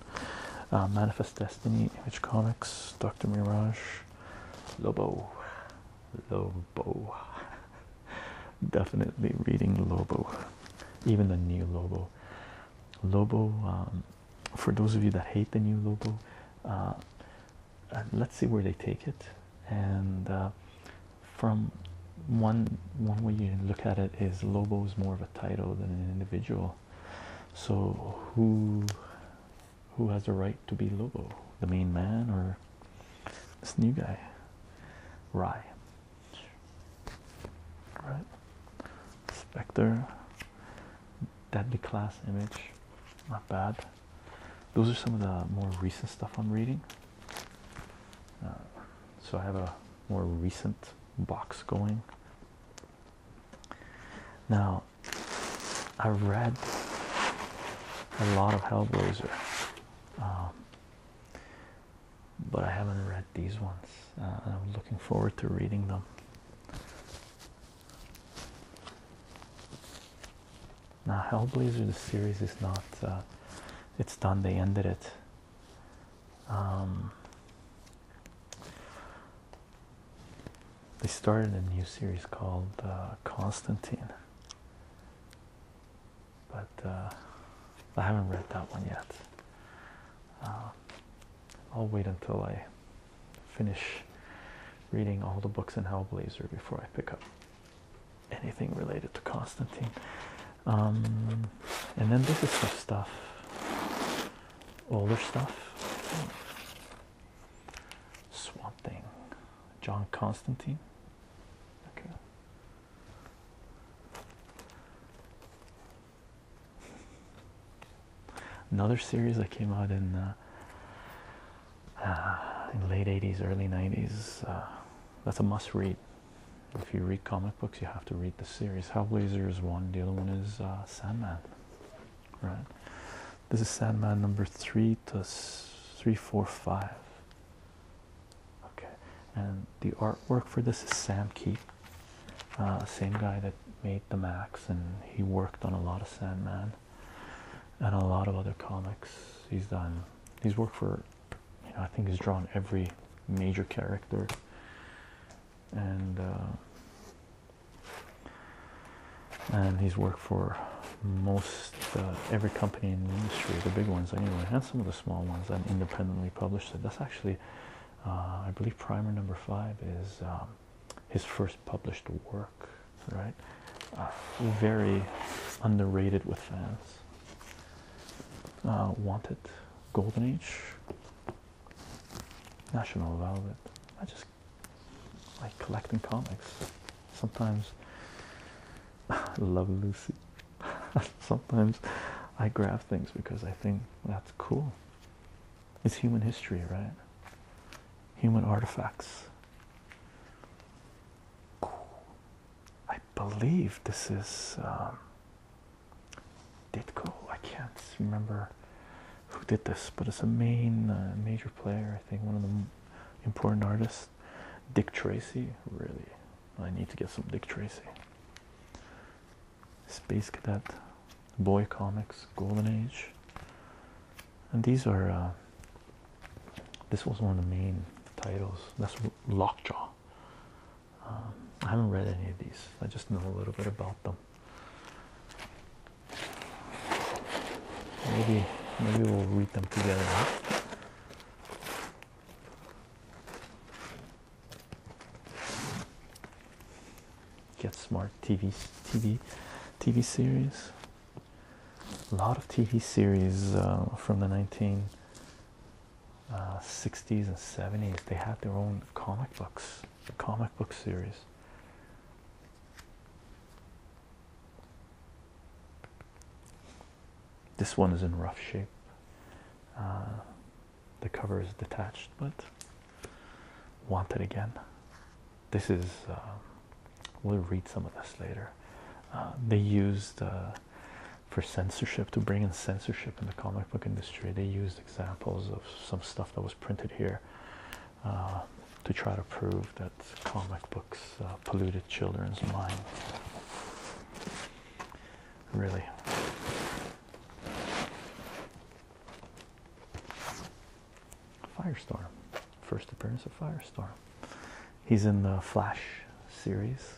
uh, manifest destiny image comics dr mirage lobo lobo Definitely reading Lobo, even the new Lobo. Lobo, um, for those of you that hate the new Lobo, uh, uh, let's see where they take it. And uh, from one one way you look at it is Lobo is more of a title than an individual. So who who has the right to be Lobo? The main man or this new guy? Rye right? Spectre, deadly class image, not bad. Those are some of the more recent stuff I'm reading. Uh, so I have a more recent box going. Now, I read a lot of Hellblazer. Um, but I haven't read these ones, uh, I'm looking forward to reading them. Now, Hellblazer, the series is not, uh, it's done, they ended it. Um, they started a new series called uh, Constantine but uh, I haven't read that one yet. Uh, I'll wait until I finish reading all the books in Hellblazer before I pick up anything related to Constantine. Um, and then this is some stuff, older stuff. Swamp Thing, John Constantine. Okay, Another series that came out in uh, uh late '80s, early '90s. Uh, that's a must-read. If you read comic books, you have to read the series. Hellblazer is one. The other one is uh, Sandman. Right. This is Sandman number three to three, four, five okay and the artwork for this is sam Keith, uh, same guy that made the max and he worked on a lot of sandman and a lot of other comics he's done he's worked for i think he's drawn every major character and uh, and he's worked for most uh, every company in the industry the big ones anyway and some of the small ones and independently published it. That's actually, uh, I believe, Primer number five is um, his first published work, right? Uh, very underrated with fans. Uh, Wanted, Golden Age, National Velvet. I just like collecting comics. Sometimes I love Lucy. Sometimes I grab things because I think that's cool. It's human history, right? Human artifacts. I believe this is um, Ditko. I can't remember who did this, but it's a main uh, major player. I think one of the important artists. Dick Tracy, really I need to get some Dick Tracy. Space Cadet, Boy Comics, Golden Age. And these are, uh, this was one of the main titles. That's Lockjaw. Um, I haven't read any of these, I just know a little bit about them. Maybe, maybe we'll read them together. Get Smart TV TV TV series. A lot of TV series uh, from the 1960s uh, and 70s. They had their own comic books, comic book series. This one is in rough shape. Uh, the cover is detached, but want it again. This is, um, we'll read some of this later. Uh, they used uh, for censorship to bring in censorship in the comic book industry, they used examples of some stuff that was printed here to try to prove that comic books polluted children's minds really. Firestorm, first appearance of Firestorm. He's in the Flash series.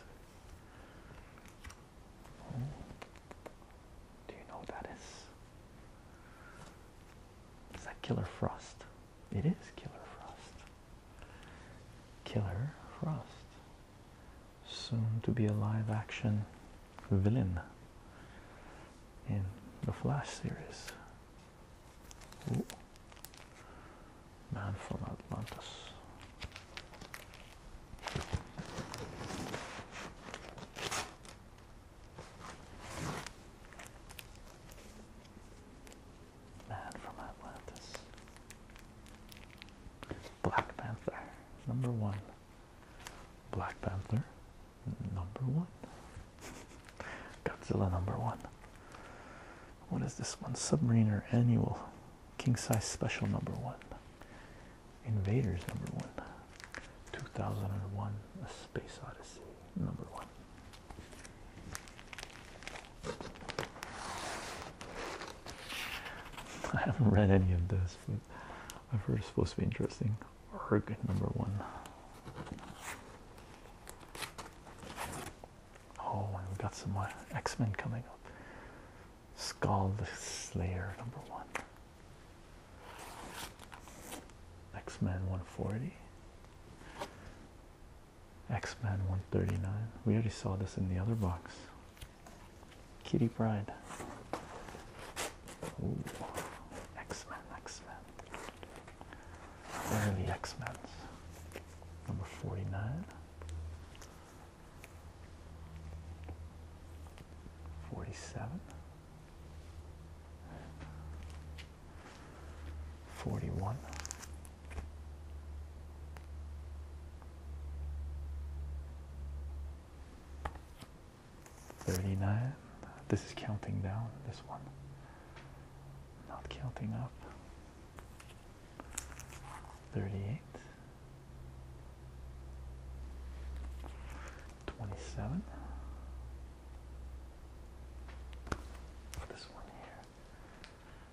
Oh. Do you know what that is? Is that Killer Frost? It is Killer Frost. Killer Frost. Soon to be a live action villain in the Flash series. Man from Atlantis. Man from Atlantis. Black Panther, number one. Black Panther, number one. Godzilla, number one. What is this one? Submariner Annual, King Size Special, number one. Invaders, number one. 2001, A Space Odyssey, number one. I haven't read any of this, but I've heard it's supposed to be interesting. Erg number one. Oh, and we got some X Men coming up. Skull Slayer number one. X Men 140. X-Men 139. We already saw this in the other box. Kitty Pride. X-Men, X-Men. The X-Men. Number 49. 47. 41 39 this is counting down this one not counting up 38 27 this one here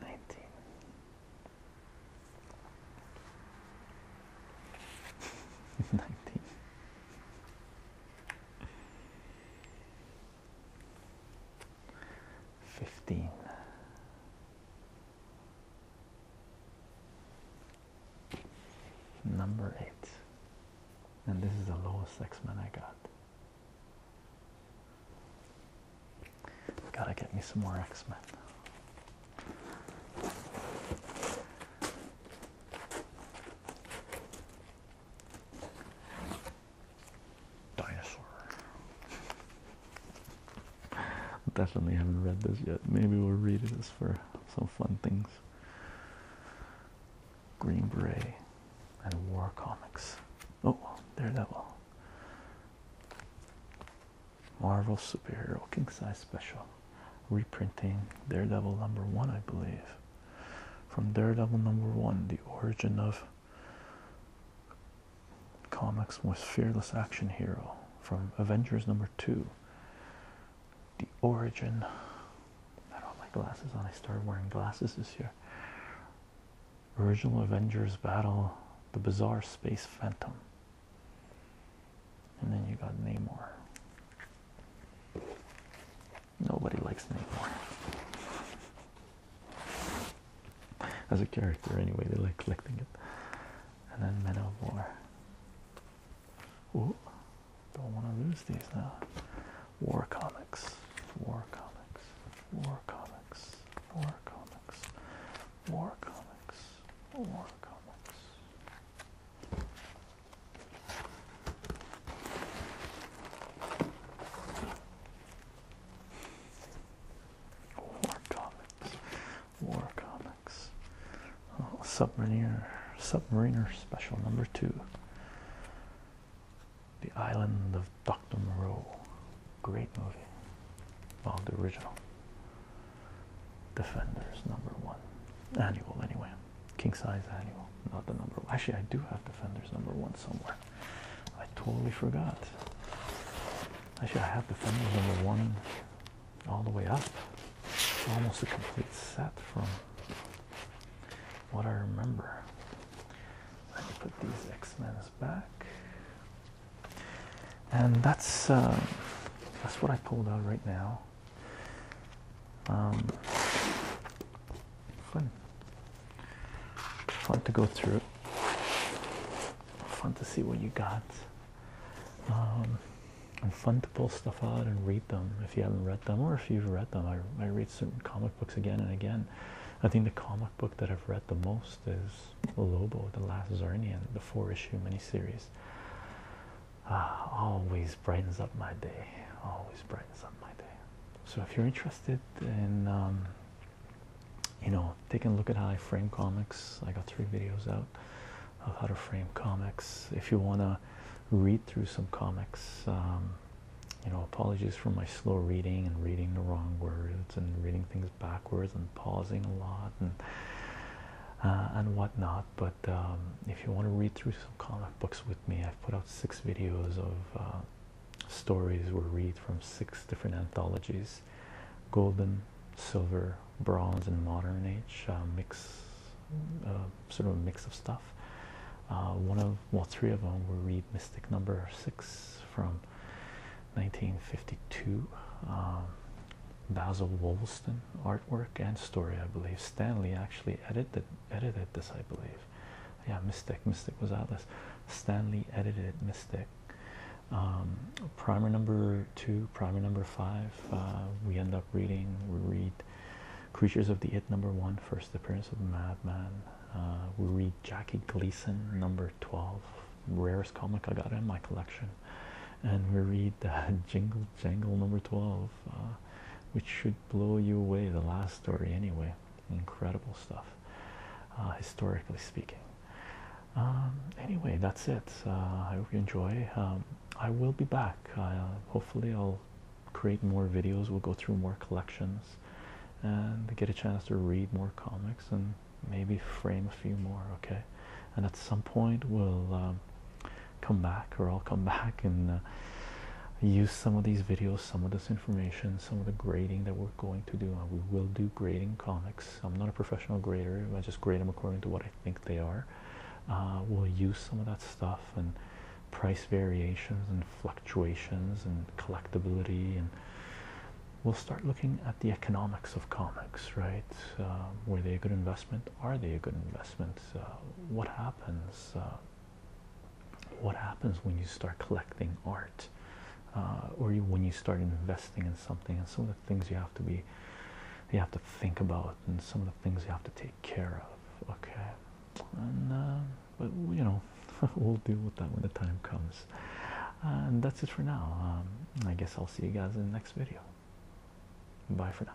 Nineteen. Nineteen. Fifteen. Number eight and this is the lowest X-Men I got. Gotta get me some more X-Men. Dinosaur. Definitely haven't read this yet. Maybe we'll read this for some fun things. Green Beret, and War Comics. Oh, Daredevil. Marvel Superhero King Size Special. Reprinting Daredevil number one, I believe. From Daredevil number one, the origin of comics most Fearless Action Hero. From Avengers number two, the origin. I don't have my glasses on. I started wearing glasses this year. Original Avengers Battle, the Bizarre Space Phantom. And then you got Namor. Nobody likes Namor. As a character, anyway, they like collecting it. And then Men War. Ooh, don't want to lose these now. War comics, war comics, war comics, war comics, war comics, war comics. War comics, war comics. Oh, submariner, submariner special number two. The Island of Dr. Moreau. Great movie. Well, the original. Defenders, number one. Annual, anyway. King size annual, not the number one. Actually, I do have Defenders number one somewhere. I totally forgot. Actually, I have Defenders number one all the way up. Almost a complete set from what I remember. Let me put these X-Men's back. And that's um, that's what I pulled out right now. Um, fun, fun to go through. Fun to see what you got. Um, and fun to pull stuff out and read them if you haven't read them or if you've read them I, I read certain comic books again and again I think the comic book that I've read the most is Lobo the Last Zarnian the four issue miniseries ah, always brightens up my day always brightens up my day so if you're interested in um, you know taking a look at how I frame comics I got three videos out of how to frame comics if you want to read through some comics. Um, you know, apologies for my slow reading and reading the wrong words and reading things backwards and pausing a lot and uh, and whatnot. But um, if you want to read through some comic books with me, I've put out six videos of uh, stories we read from six different anthologies: golden, silver, bronze, and modern age. Uh, mix sort of a mix of stuff. Uh, one of well, three of them were read Mystic Number Six from 1952. Um, Basil Wollaston artwork and story, I believe. Stanley actually edited edited this, I believe. Yeah, Mystic. Mystic was this. Stanley edited Mystic. Um, primer number two, primer number five. Uh, we end up reading. We read Creatures of the It number one, first appearance of Madman. Uh, we read Jackie Gleason number 12, rarest comic I got in my collection. And we read uh, Jingle Jangle number 12, uh, which should blow you away, the last story anyway. Incredible stuff, uh, historically speaking. Um, anyway, that's it. I hope you enjoy. Um, I will be back. hopefully, I'll create more videos we'll go through more collections and get a chance to read more comics and maybe frame a few more okay and at some point we'll um, come back or I'll come back and uh, use some of these videos some of this information some of the grading that we're going to do we will do grading comics I'm not a professional grader I just grade them according to what I think they are uh, we'll use some of that stuff and price variations and fluctuations and collectability and we'll start looking at the economics of comics right uh, were they a good investment are they a good investment uh, what happens uh, what happens when you start collecting art or when you start investing in something and some of the things you have to be you have to think about and some of the things you have to take care of okay uh, but you know we'll deal with that when the time comes and that's it for now um, i guess i'll see you guys in the next video bye for now